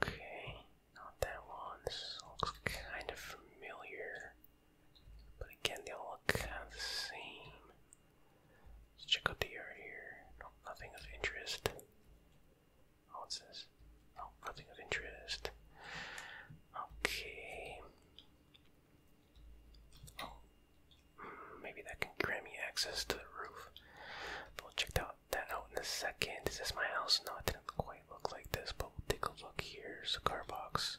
Okay, not that one. This looks kind of familiar. But again, they all look kind of the same. Let's check out the yard here. No, nothing of interest. Oh, what's this? No, nothing of interest. Okay. Oh, hmm, maybe that can grant me access to the roof. But we'll check that, that out in a second. Is this my house? No, it didn't quite look like this, but we'll take a look here. There's a car box.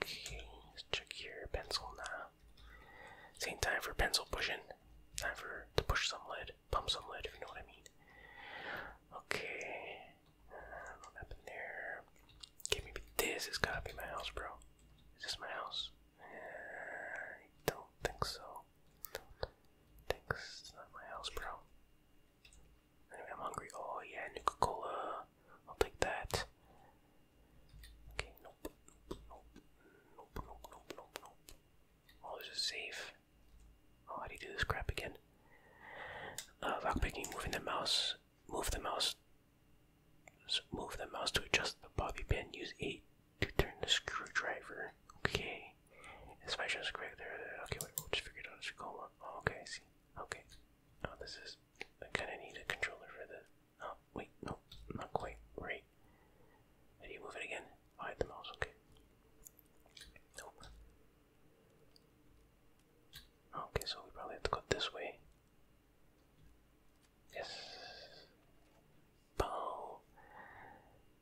Okay, let's check here. Pencil, nah. This time for pencil pushing. Time for to push some lead, pump some lead, if you know what I mean. Okay, uh, what happened there? Okay, maybe this has gotta be my house, bro. Is this my house? Uh, I don't think so. I think it's not my house, bro. I'm hungry. Oh yeah, Nuka Cola. I'll take that. Okay, nope, nope, nope, nope, nope, nope, nope, nope. Oh, there's a safe. Oh, how do this crap again? Uh, lockpicking, moving the mouse, move the mouse, move the mouse to adjust the bobby pin, use 8 to turn the screwdriver. Okay, it's my just correct there. Okay, wait, we just figure out as we go okay, see. Okay, oh, this is I kind of need a controller for the. Oh, wait, no, not quite right. do you move it again? Oh, the mouse, okay. Nope. Okay, so we probably have to go this way. Yes. Boom.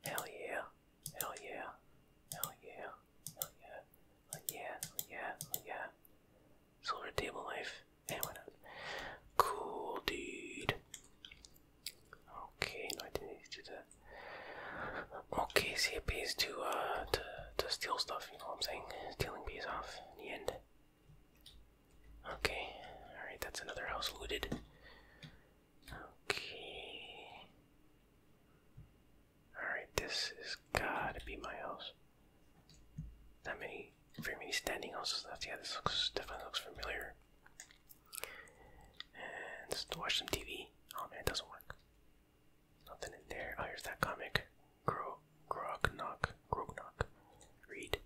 Hell yeah. Hell yeah. Hell yeah. Hell yeah. yeah. yeah. yeah. Silver table knife. Hey, why not? Cool, dude. Okay, no, I didn't need to do that. Okay, see, it pays to, uh, to, to steal stuff, you know what I'm saying? Stealing pays off in the end. Okay, alright, that's another house looted. Okay. Alright, this has gotta be my house. That many, very many standing houses left. Yeah, this looks definitely looks familiar. And just watch some TV. Oh man, it doesn't work. Nothing in there. Oh, here's that comic. Gro, grog, knock, grog, knock. Read.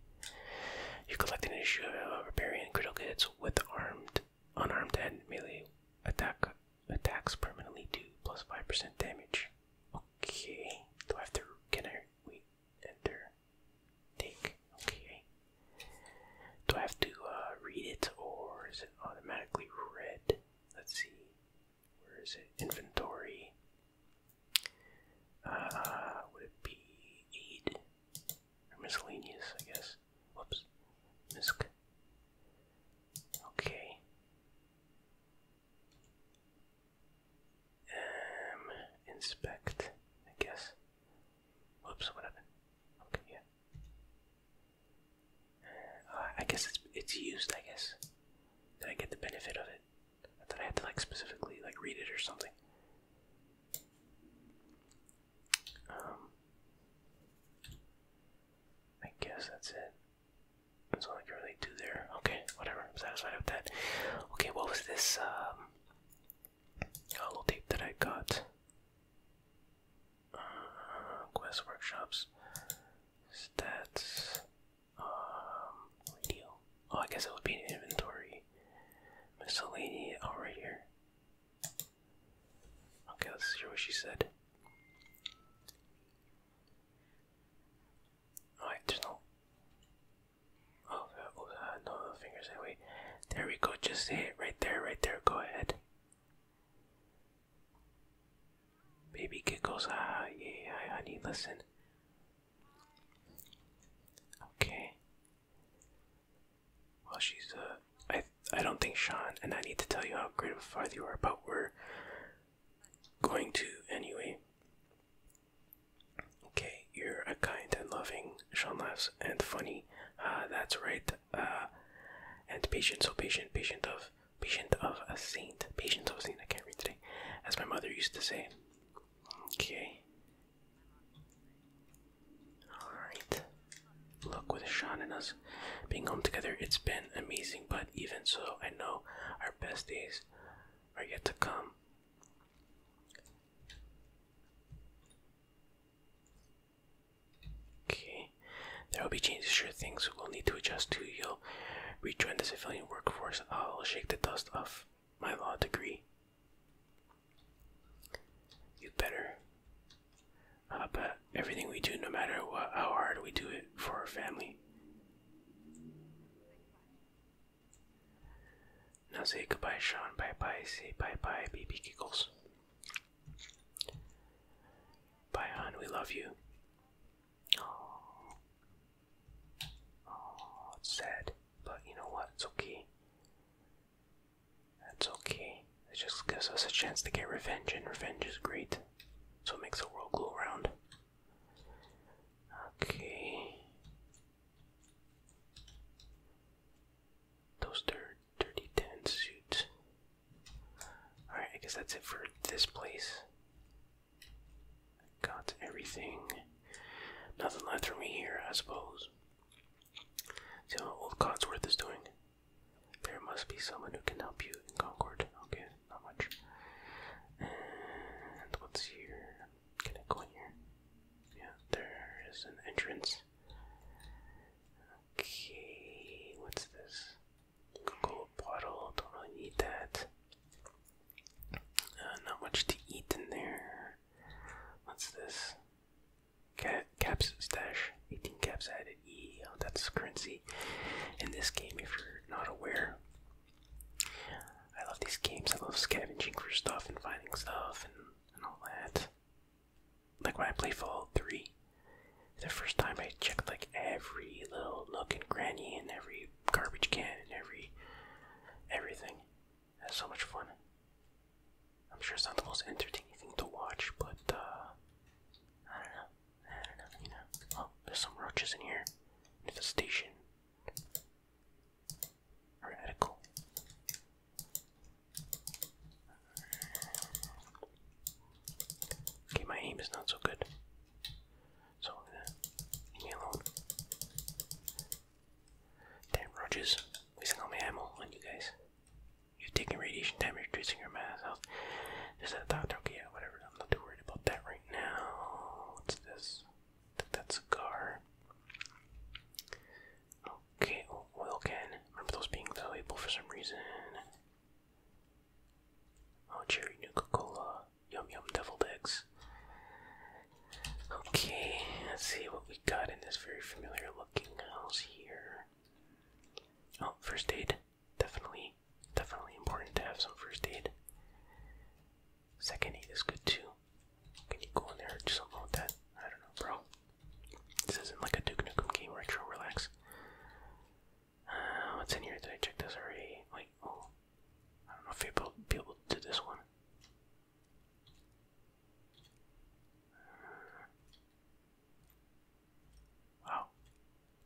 You collect an issue of Barbarian critical hits with armed, unarmed, and melee attack attacks permanently do plus five percent damage. Okay. Do I have to? Can I? we enter take. Okay. Do I have to uh, read it or is it automatically read? Let's see. Where is it? Inventory. Uh, would it be aid or miscellaneous? I guess. Whoops. Misc. Okay. Um, inspect, I guess. Whoops, what Okay, yeah. Uh, I guess it's it's used. I guess. Did I get the benefit of it? I thought I had to like specifically like read it or something. Um, I guess that's it. That's all I can really do there. Okay, whatever. I'm satisfied with that. Okay, what was this um, hollow tape that I got? Uh, quest workshops, stats, um, radio. Oh, I guess it would be an inventory. Miscellany. Oh, right here. Okay, let's hear what she said. Alright, there's no. Oh, no oh, oh, fingers that There we go. Just say it right there, right there. Go ahead. Baby giggles. Ah, yeah, I, honey, listen. Okay. Well, she's uh, I I don't think Sean and I need to tell you how great of a father you are, but we're going to anyway. Okay, you're a kind and loving, Sean laughs, and funny. Uh, that's right. Uh, and patient, so patient, patient of, patient of a saint, patient of a saint. I can't read today, as my mother used to say. Okay. Alright. Look, with Sean and us being home together, it's been amazing, but even so, I know our best days are yet to come. Okay, there will be changes to sure things we'll need to adjust to. You'll rejoin the civilian workforce. I'll shake the dust off my law degree. You better. Uh, but everything we do, no matter how hard we do it for our family. Now say goodbye, Sean. Bye bye. Say bye bye, baby giggles. Bye, hon. We love you. Oh, oh, it's sad, but you know what? It's okay. That's okay. It just gives us a chance to get revenge, and revenge is great. So it makes the world go round. Okay. Those dirt, dirty tenant suits. Alright, I guess that's it for this place. Got everything. Nothing left for me here, I suppose. See how old Codsworth is doing. There must be someone who can help you in Concord. Okay, not much. And what's here? Can I go in here? Yeah, there is an entrance. Okay, what's this? Cocoa bottle, don't really need that. Uh, not much to eat in there. What's this? Cap caps stash, 18 caps added. E, oh, that's currency. In this game, if you're not aware, I love these games. I love scavenging for stuff and finding stuff and, and all that. Like when I play Fallout 3, the first time I checked like every little nook and cranny and every garbage can and every everything. That's so much fun. I'm sure it's not the most entertaining thing to watch, but uh I don't know. I don't know, you know. Oh, there's some roaches in here. station. Radical. Okay, my aim is not so good. So leave me alone. Damn roaches. Wasting all my ammo on you guys. You've radiation damage, reducing your mass health. Is a doctor? Okay, yeah, whatever. I'm not too worried about that right now. What's this? that's a car. Okay, oh, oil can. Remember those being valuable for some reason. Oh, cherry Nuka Cola. Yum yum devil eggs. Okay, let's see what we got in this very familiar looking house here. Oh, first aid. Definitely, definitely important to have some first aid. Second eight is good too. Can you go in there or do that? I don't know, bro. This isn't like a Duke Nukem game retro. Relax. Uh, what's in here? Did I check this already? Wait, oh, I don't know if you'll be able to do this one. Uh, wow,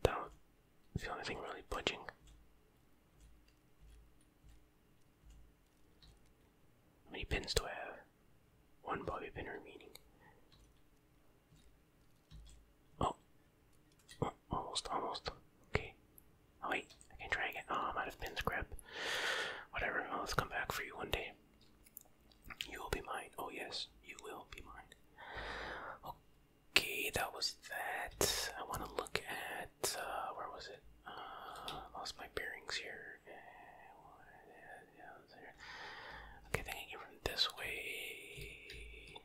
that the only thing really budging. How many pins do I have? One bobby pin remaining. Oh. oh almost, almost. Okay. Oh, wait, I can try again. Oh, I'm out of pins, crap. Whatever, I'll come back for you one day. You will be mine. Oh yes, you will be mine. Okay, that was that. I want to look at. Uh, where was it? Uh, lost my bearings here. Okay, I think I came from this way.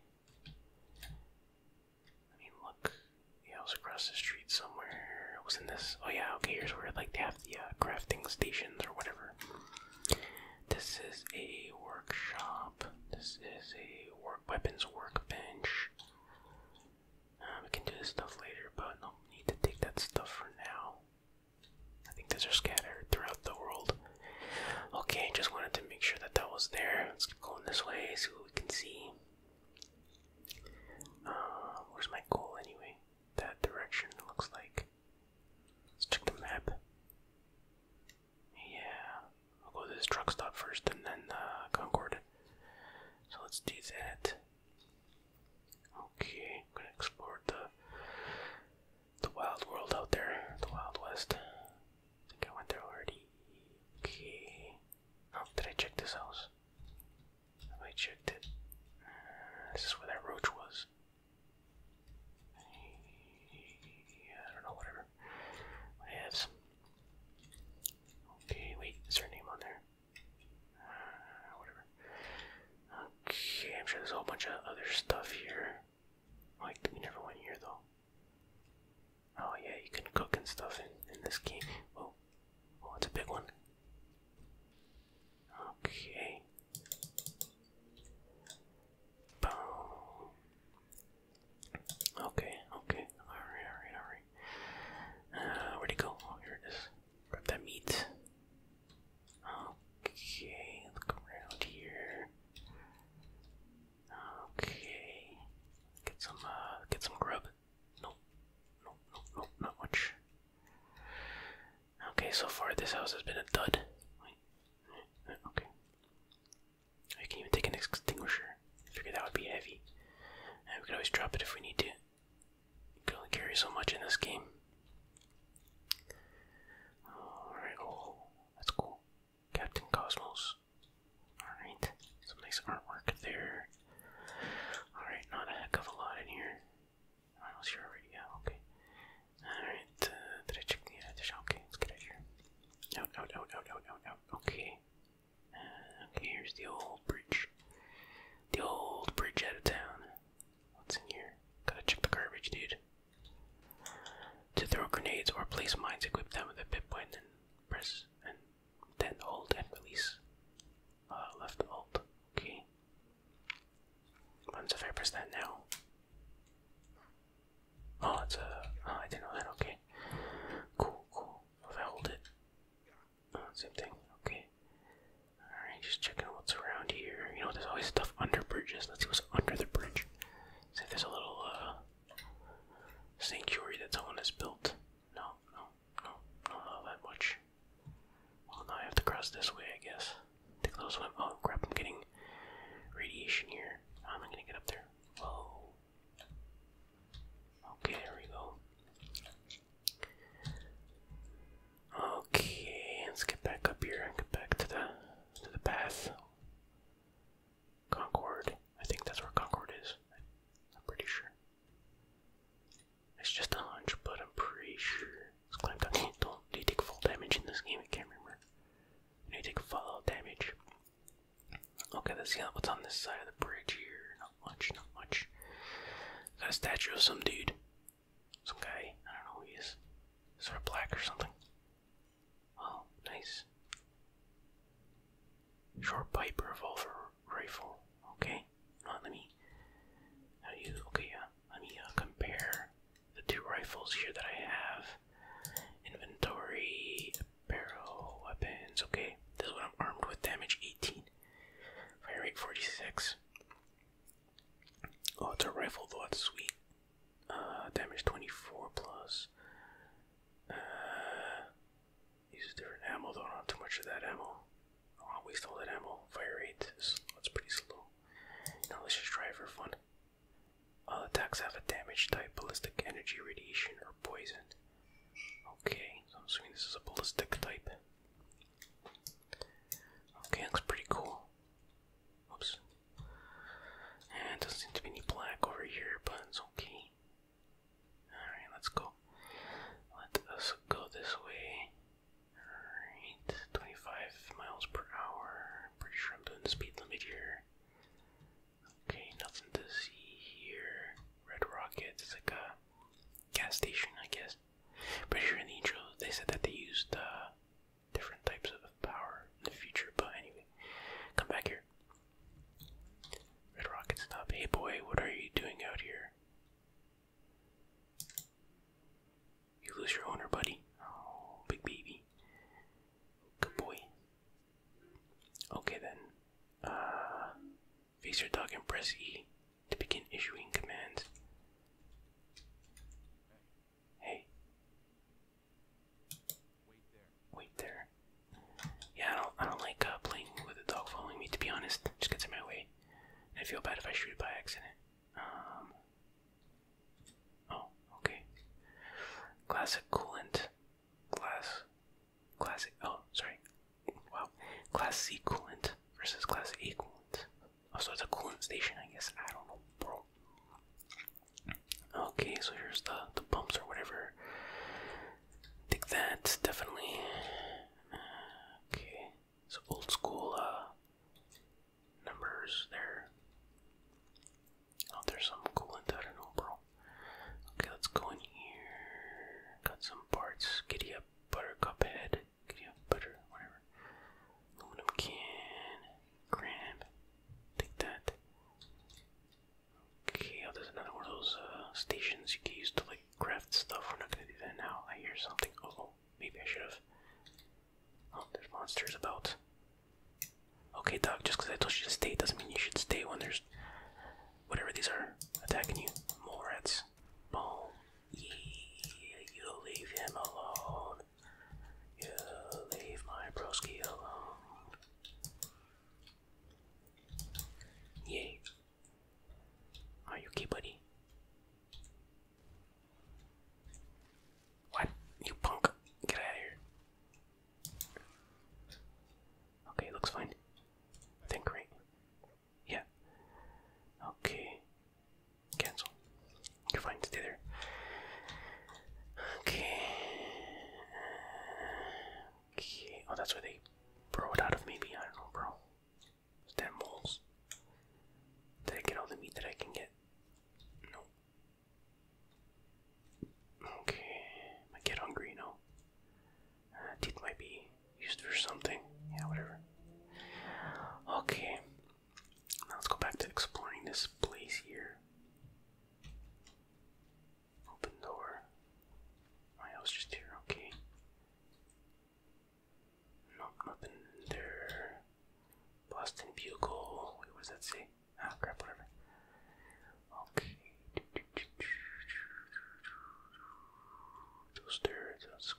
I mean, look. Yeah, I was across the street somewhere. It was in this. Oh yeah, okay. Here's where like they have the uh, crafting stations or whatever. This is a workshop. This is a weapons workbench. Uh, we can do this stuff later, but no need to take that stuff for now. I think those are scattered throughout the world. Okay, just wanted to make sure that that was there. Let's keep going this way, so we can see. Uh, where's my goal anyway? That direction looks like. Let's check the map. Yeah, I'll go to this truck stop first and then uh, Concord. So let's do that. Okay, I'm gonna explore the the wild world out there, the wild west. I think I went there already. Okay. Oh, did I check this house? I checked it. Uh, this is where that roach was. I don't know, whatever. I have Okay, wait, is her name on there? whatever. Okay, I'm sure there's a whole bunch of other stuff here. Like, we never went here though. Oh yeah, you can cook and stuff in, in this game. Oh, oh, it's a big one. Okay. Boom. Okay, okay, alright, alright, alright. Uh, where'd he go? Oh, here it is. Grab that meat. Okay, look around here. Okay, get some, uh, get some grub. Nope, nope, nope, not much. Okay, so far this house has been a dud. Wait, okay. I can even take an extinguisher. I that would be heavy. And we could always drop it if we need to. You can only carry so much in this game. Alright, oh, that's cool. Captain Cosmos. Alright, some nice artwork there. Alright, not a heck of a lot in here. I here already, yeah, okay. Alright, uh, did I check the, uh, Okay, let's get out here. Out, out, out, out, out, out, out. Okay, Okay, here's the old bridge. The old bridge out of town. What's in here? Gotta check the garbage, dude. To throw grenades or place mines, equip them with a pip point, and press and then hold and release. Uh, left alt. Okay. What if I press that now? Oh, it's a. Oh, I didn't know that. Okay. Cool, cool. If I hold it, same thing. Okay. Alright, just checking out what's around here. You know, there's always stuff under bridges. Let's see what's under the bridge. See if there's a little uh sanctuary that someone has built. No, no, no, no, not that much. Well now I have to cross this way, I guess. Take a little swim. Oh crap, I'm getting radiation here. i am not gonna get up there? Whoa. Okay, there we go. Okay, let's get back up here and get back to the to the path. Concord. I think that's where Concord is. I'm pretty sure. It's just a hunch, but I'm pretty sure. Let's climb down. Don't do you take full damage in this game? I can't remember. You take fallout damage. Okay, let's see what's on this side of the bridge here much, not much. Is that a statue of some dude? Some guy? I don't know who he is. Sort of black or something. Oh, nice. Short pipe revolver rifle. Okay. let me. How do you? Okay, yeah. Let me uh, compare the two rifles here that I have. Inventory, barrel, weapons. Okay, this is I'm armed with. Damage 18. Fire rate 46. Oh, it's a rifle though, that's sweet. Uh, damage 24 plus. Uh, use different ammo though, not have too much of that ammo. I do ammo. Fire rate, is, pretty slow. Now let's just try for fun. All attacks have a damage type, ballistic energy, radiation, or poison. Okay, I'm assuming this is a ballistic type. Okay, looks pretty cool. Oops. And doesn't seem to be any black over here, but it's okay. Alright, let's go. Let us go this way. Alright, 25 miles per hour. Pretty sure I'm doing the speed limit here. Okay, nothing to see here. Red Rocket, it's like a gas station, I guess. But here in the intro they said that they used uh, different types of power in the future, but anyway, come back here. Red Rocket, stop. Hey boy, what are you doing out here? You lose your owner, buddy. Oh, big baby. Good boy. Okay then. Uh, Face your dog and press E to begin issuing commands. Hey. Wait there. Yeah, I don't, I don't like uh, playing with a dog following me, to be honest. It just gets in my way. I feel bad if I shoot it by accident. Um. Oh, okay. Classic coolant. Glass. Classic. Oh, sorry. Wow. Class C coolant versus Class A coolant. Oh, so it's a coolant station, I guess. I don't know, bro. Okay, so here's the the pumps or whatever. Take that, definitely. Okay, so old school uh, numbers there. Oh, there's some coolant. I do bro. Okay, let's go in here. Got some parts. Giddy up, buttercup head. Could you have butter? Whatever. Aluminum can. Grab. Take that. Okay, oh, there's another one of those uh, stations you can use to like craft stuff. We're not gonna do that now. I hear something. oh, maybe I should have. Oh, there's monsters about. Okay, dog, just because I told you to stay doesn't mean you should stay when there's whatever these are attacking you. Mole rats. Boom. You leave him alone. You leave my broski alone. Yay. Are you okay, buddy? What? You punk. Get out of here. Okay, looks fine. Think right. Yeah. Okay. Cancel. You're fine. Stay there. Okay. Okay. Oh, that's where they bro it out of maybe. I don't know, bro. Stand moles. Did I get all the meat that I can get? No. Okay. I get hungry, no. Uh, teeth used for something. Yeah, whatever. Okay. Now let's go back to exploring this place here. Open door. Oh, yeah, just here. Okay. Nope, nothing in there. Boston Bugle. Wait, what does that say? Ah, crap, whatever. Okay. Those stairs. That's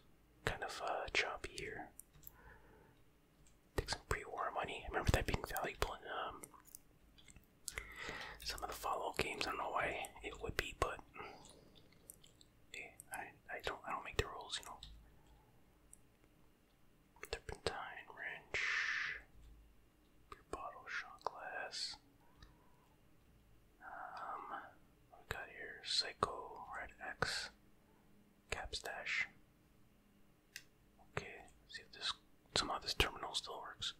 kind of uh, choppy here. Take some pre-war money. I remember that being valuable in um, some of the follow-up games. I don't know why it would be, but I I don't I don't make the rules, you know. Turpentine wrench, bottle, shot glass. Um, we got here Psycho, Red X, Capstash. Okay, see if this somehow this terminal still works.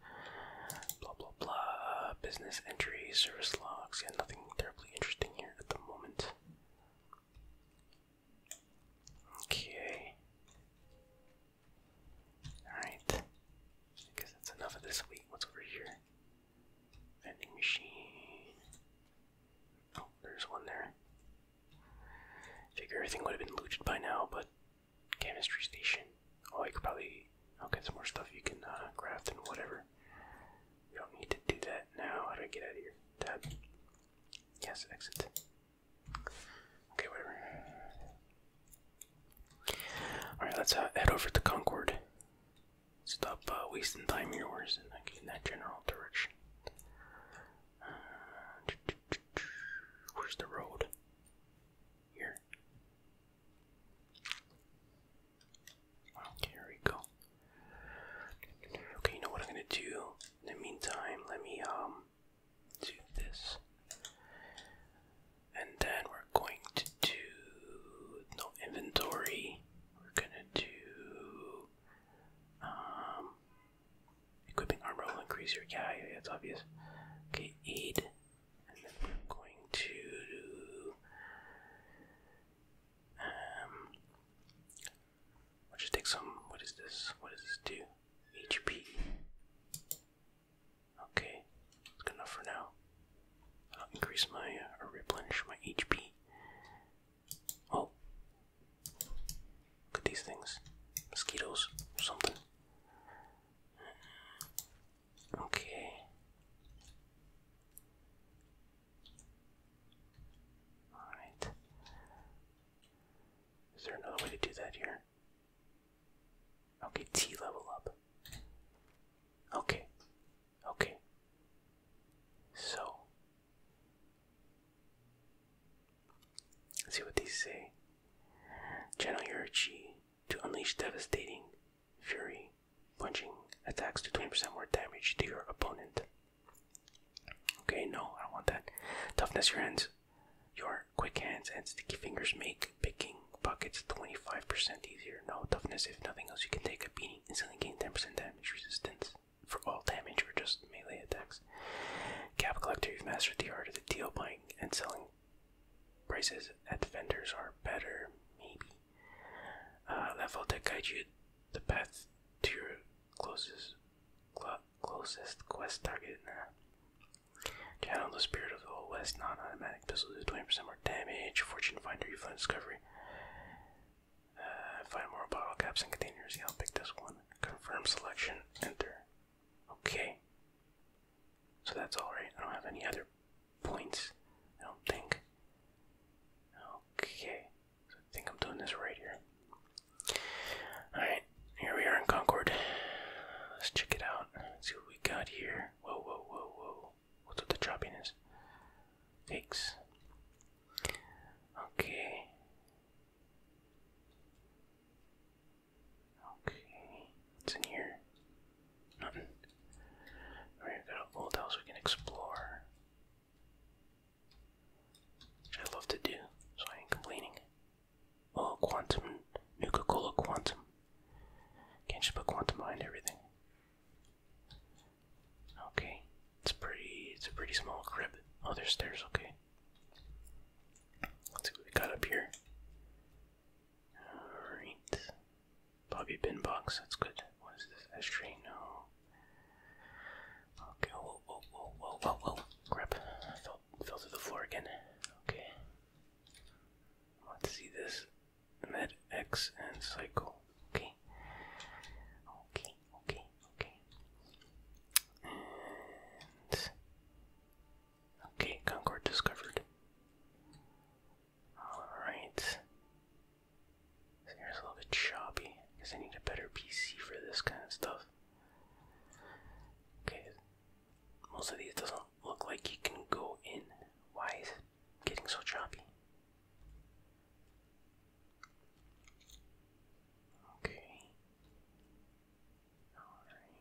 Blah blah blah. Business entry, service logs, yeah, nothing terribly interesting here at the moment. Okay. Alright. I guess that's enough of this. Wait, what's over here? Vending machine. Oh, there's one there. Figure everything would have been looted by now, but chemistry station. Oh, I could probably. get some more stuff you can uh, craft and whatever. We don't need to do that now. How do I get out of here? Tab. Yes, exit. Okay, whatever. Alright, let's uh, head over to Concord. Stop uh, wasting time yours and like, in that general direction. Uh, where's the road? Here. Okay, here we go. Okay, you know what I'm gonna do? In the meantime, let me um do this. And then we're going to do no inventory. We're gonna do um equipping armor will increase your yeah, yeah, it's obvious. Okay, aid. And then we're going to do um I'll just take some what is this? What does this do? HP. Okay, it's good enough for now. I'll increase my uh, or replenish my HP. Oh. Look at these things. Mosquitoes or something. Okay. Alright. Is there another way to do that here? Okay, T level up. Okay. Okay. So, see what they say. Channel your chi to unleash devastating fury, punching attacks to 20% more damage to your opponent. Okay, no, I don't want that. Toughness your hands. Your quick hands and sticky fingers make picking pockets 25% easier. No toughness, if nothing else, you can take a beating, and still gain 10% damage damage resistance for all damage or just melee attacks. Cap Collector, you've mastered the art of the deal buying and selling prices at vendors are better, maybe. level uh, that guides you the path to your closest cl closest quest target. Nah. Channel the spirit of the old west, non-automatic pistols do 20% more damage, fortune finder, you find discovery. Uh, find more bottle caps and containers. Yeah, I'll pick this one. Confirm selection. Enter. Okay. So that's all right. I don't have any other points. I don't think. Okay. So I think I'm doing this right here. Alright, here we are in Concord. Let's check it out. Let's see what we got here. Whoa, whoa, whoa, whoa. What's with the choppiness? Eggs. Okay. Okay. What's in here? Nothing. Alright, got old house we can explore. Which I love to do, so I ain't complaining. Oh, quantum. Nuka Cola Quantum. Can't you put quantum behind everything. Okay, it's pretty. It's a pretty small crib. Oh, there's stairs. Okay. Let's see what we got up here. All right, Bobby bin box. That's good. What is this ashtray? No. Okay. Whoa, whoa, whoa, whoa, whoa, whoa! Crap! I fell, fell to the floor again. Okay. Let's see this. Med X and cycle. Okay okay. Okay, okay, okay. Concord discovered. Alright. This a little bit choppy. I I need a better PC for this kind of stuff. Okay. Most of these doesn't look like you can go in. Why getting so choppy? Okay. Alright.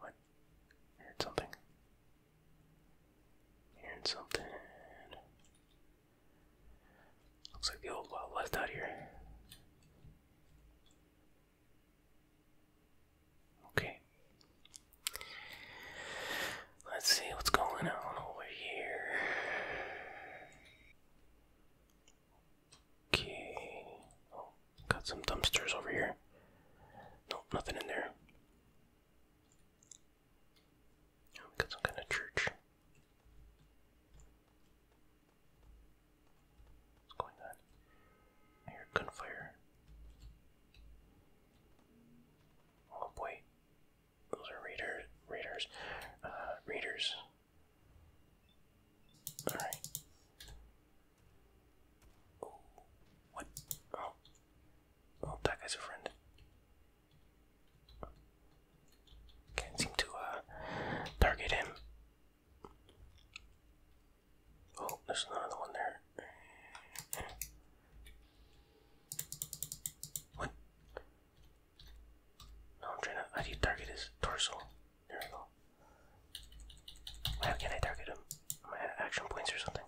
What? heard something. heard something. Looks like the old wild west out here. Okay. Let's see what's going on over here. Okay. Oh, got some dumpsters over here. Nope, nothing in there. got some kind of church. What's going on? I gunfire. Oh boy. Those are readers. Readers. Uh, readers. All right. Ooh, what? Oh. Oh, that guy's a friend. Can't seem to uh target him. Oh, there's another one there. What? No, I'm trying to. How do you target his torso? There we go. How can I target him? Am I out action points or something?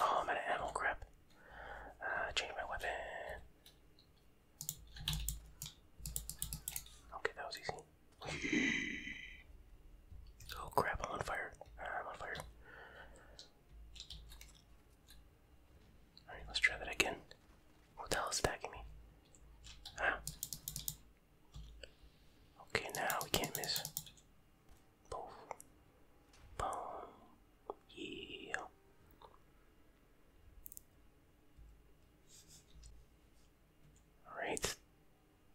Oh, I'm out ammo. Crap. Uh, change my weapon. Okay, that was easy. oh crap! i on fire. I'm on fire. Alright, let's try that again. What the hell is attacking me? Ah. Okay, now we can't miss. Boom. Boom. Yeah. Alright.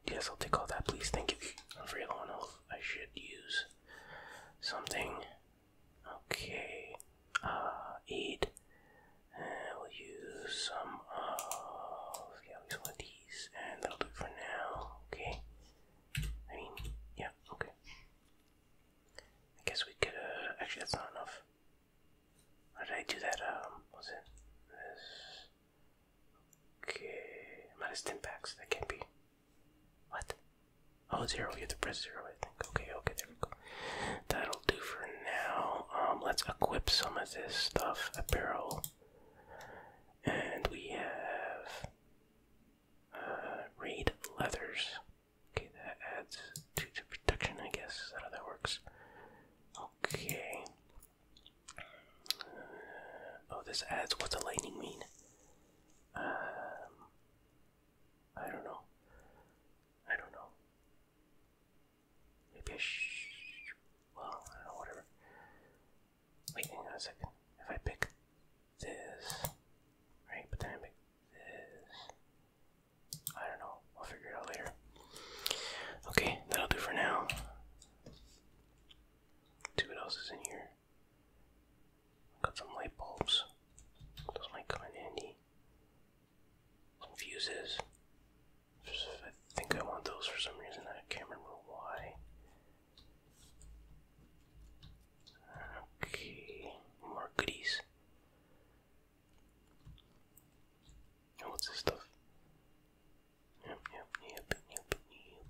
Yes, I'll take all that, please. Thank you. I'm very low on health. I should use something Okay, uh, eat. And we'll use some of, yeah, at of these, and that'll do for now, okay? I mean, yeah, okay. I guess we could, actually that's not enough. How did I do that, um, was it? This. Okay, minus 10 packs, that can't be. What? Oh, zero. You have to press zero, I think. Okay, okay, there we go. That'll do for now. Um, let's equip some of this stuff. Apparel. And we have uh, raid leathers. Okay, that adds to, to protection, I guess. Is that how that works? Okay. Uh, oh, this adds. What's a lightning mean? Um, I don't know. I don't know. Maybe well, I don't know, whatever. Wait, a second. If I pick this, right, but then I make this, I don't know. I'll figure it out later. Okay, that'll do for now. See what else is in here. Got some light bulbs. Those might come in handy fuses. I think I want those for some reason. I can't remember why. Okay, more goodies. what's this stuff?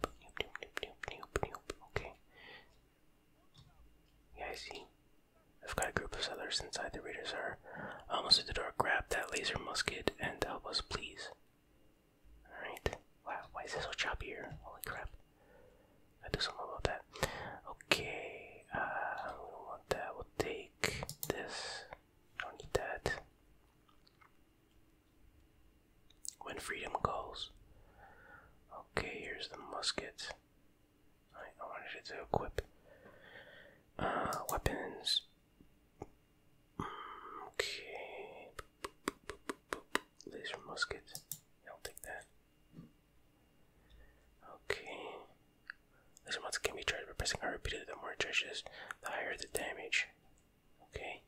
Okay. Yeah, I see. I've got a group of settlers inside the raiders are almost at the door. Grab that laser musket and help us, please. Alright. Wow, why is this so choppy here? Holy crap. I do something about that. Okay, uh, we don't want that. We'll take this. Don't need that. When freedom calls. Okay, here's the musket. I, wanted to equip uh, weapons. Okay, laser musket. I'll take that. Okay, laser musket can be charged by pressing R repeatedly. The more it charges, the higher the damage. Okay.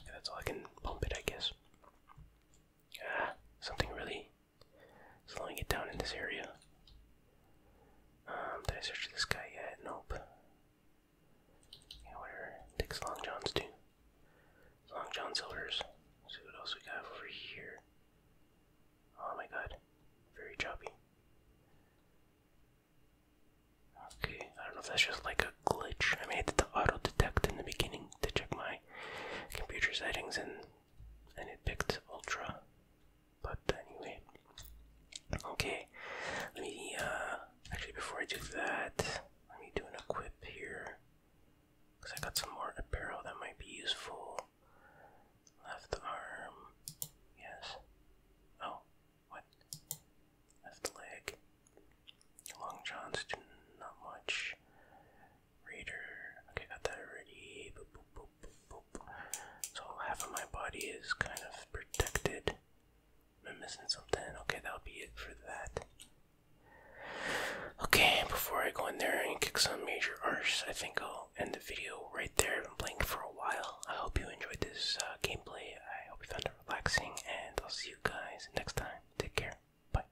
Okay, that's all I can pump it, I guess. Ah, something really let Slowing get down in this area. Um, did I search this guy yet? Nope. Yeah, whatever. Takes Long John's too. Long John Silver's. let see what else we got over here. Oh my god. Very choppy. Okay, I don't know if that's just like a glitch. I made mean, it to auto detect in the beginning to check my computer settings and and it picked ultra. But anyway, okay. Let me uh, actually before I do that, let me do an equip here because I got some more apparel that might be useful. Left arm, yes. Oh, what? Left leg. Long johns do not much. Raider. Okay, got that already. So half of my body is kind of protected. Am missing something? Okay, that'll be it for that. Okay, before I go in there and kick some major arse, I think I'll end the video right there. I've been playing for a while. I hope you enjoyed this uh, gameplay. I hope you found it relaxing, and I'll see you guys next time. Take care. Bye.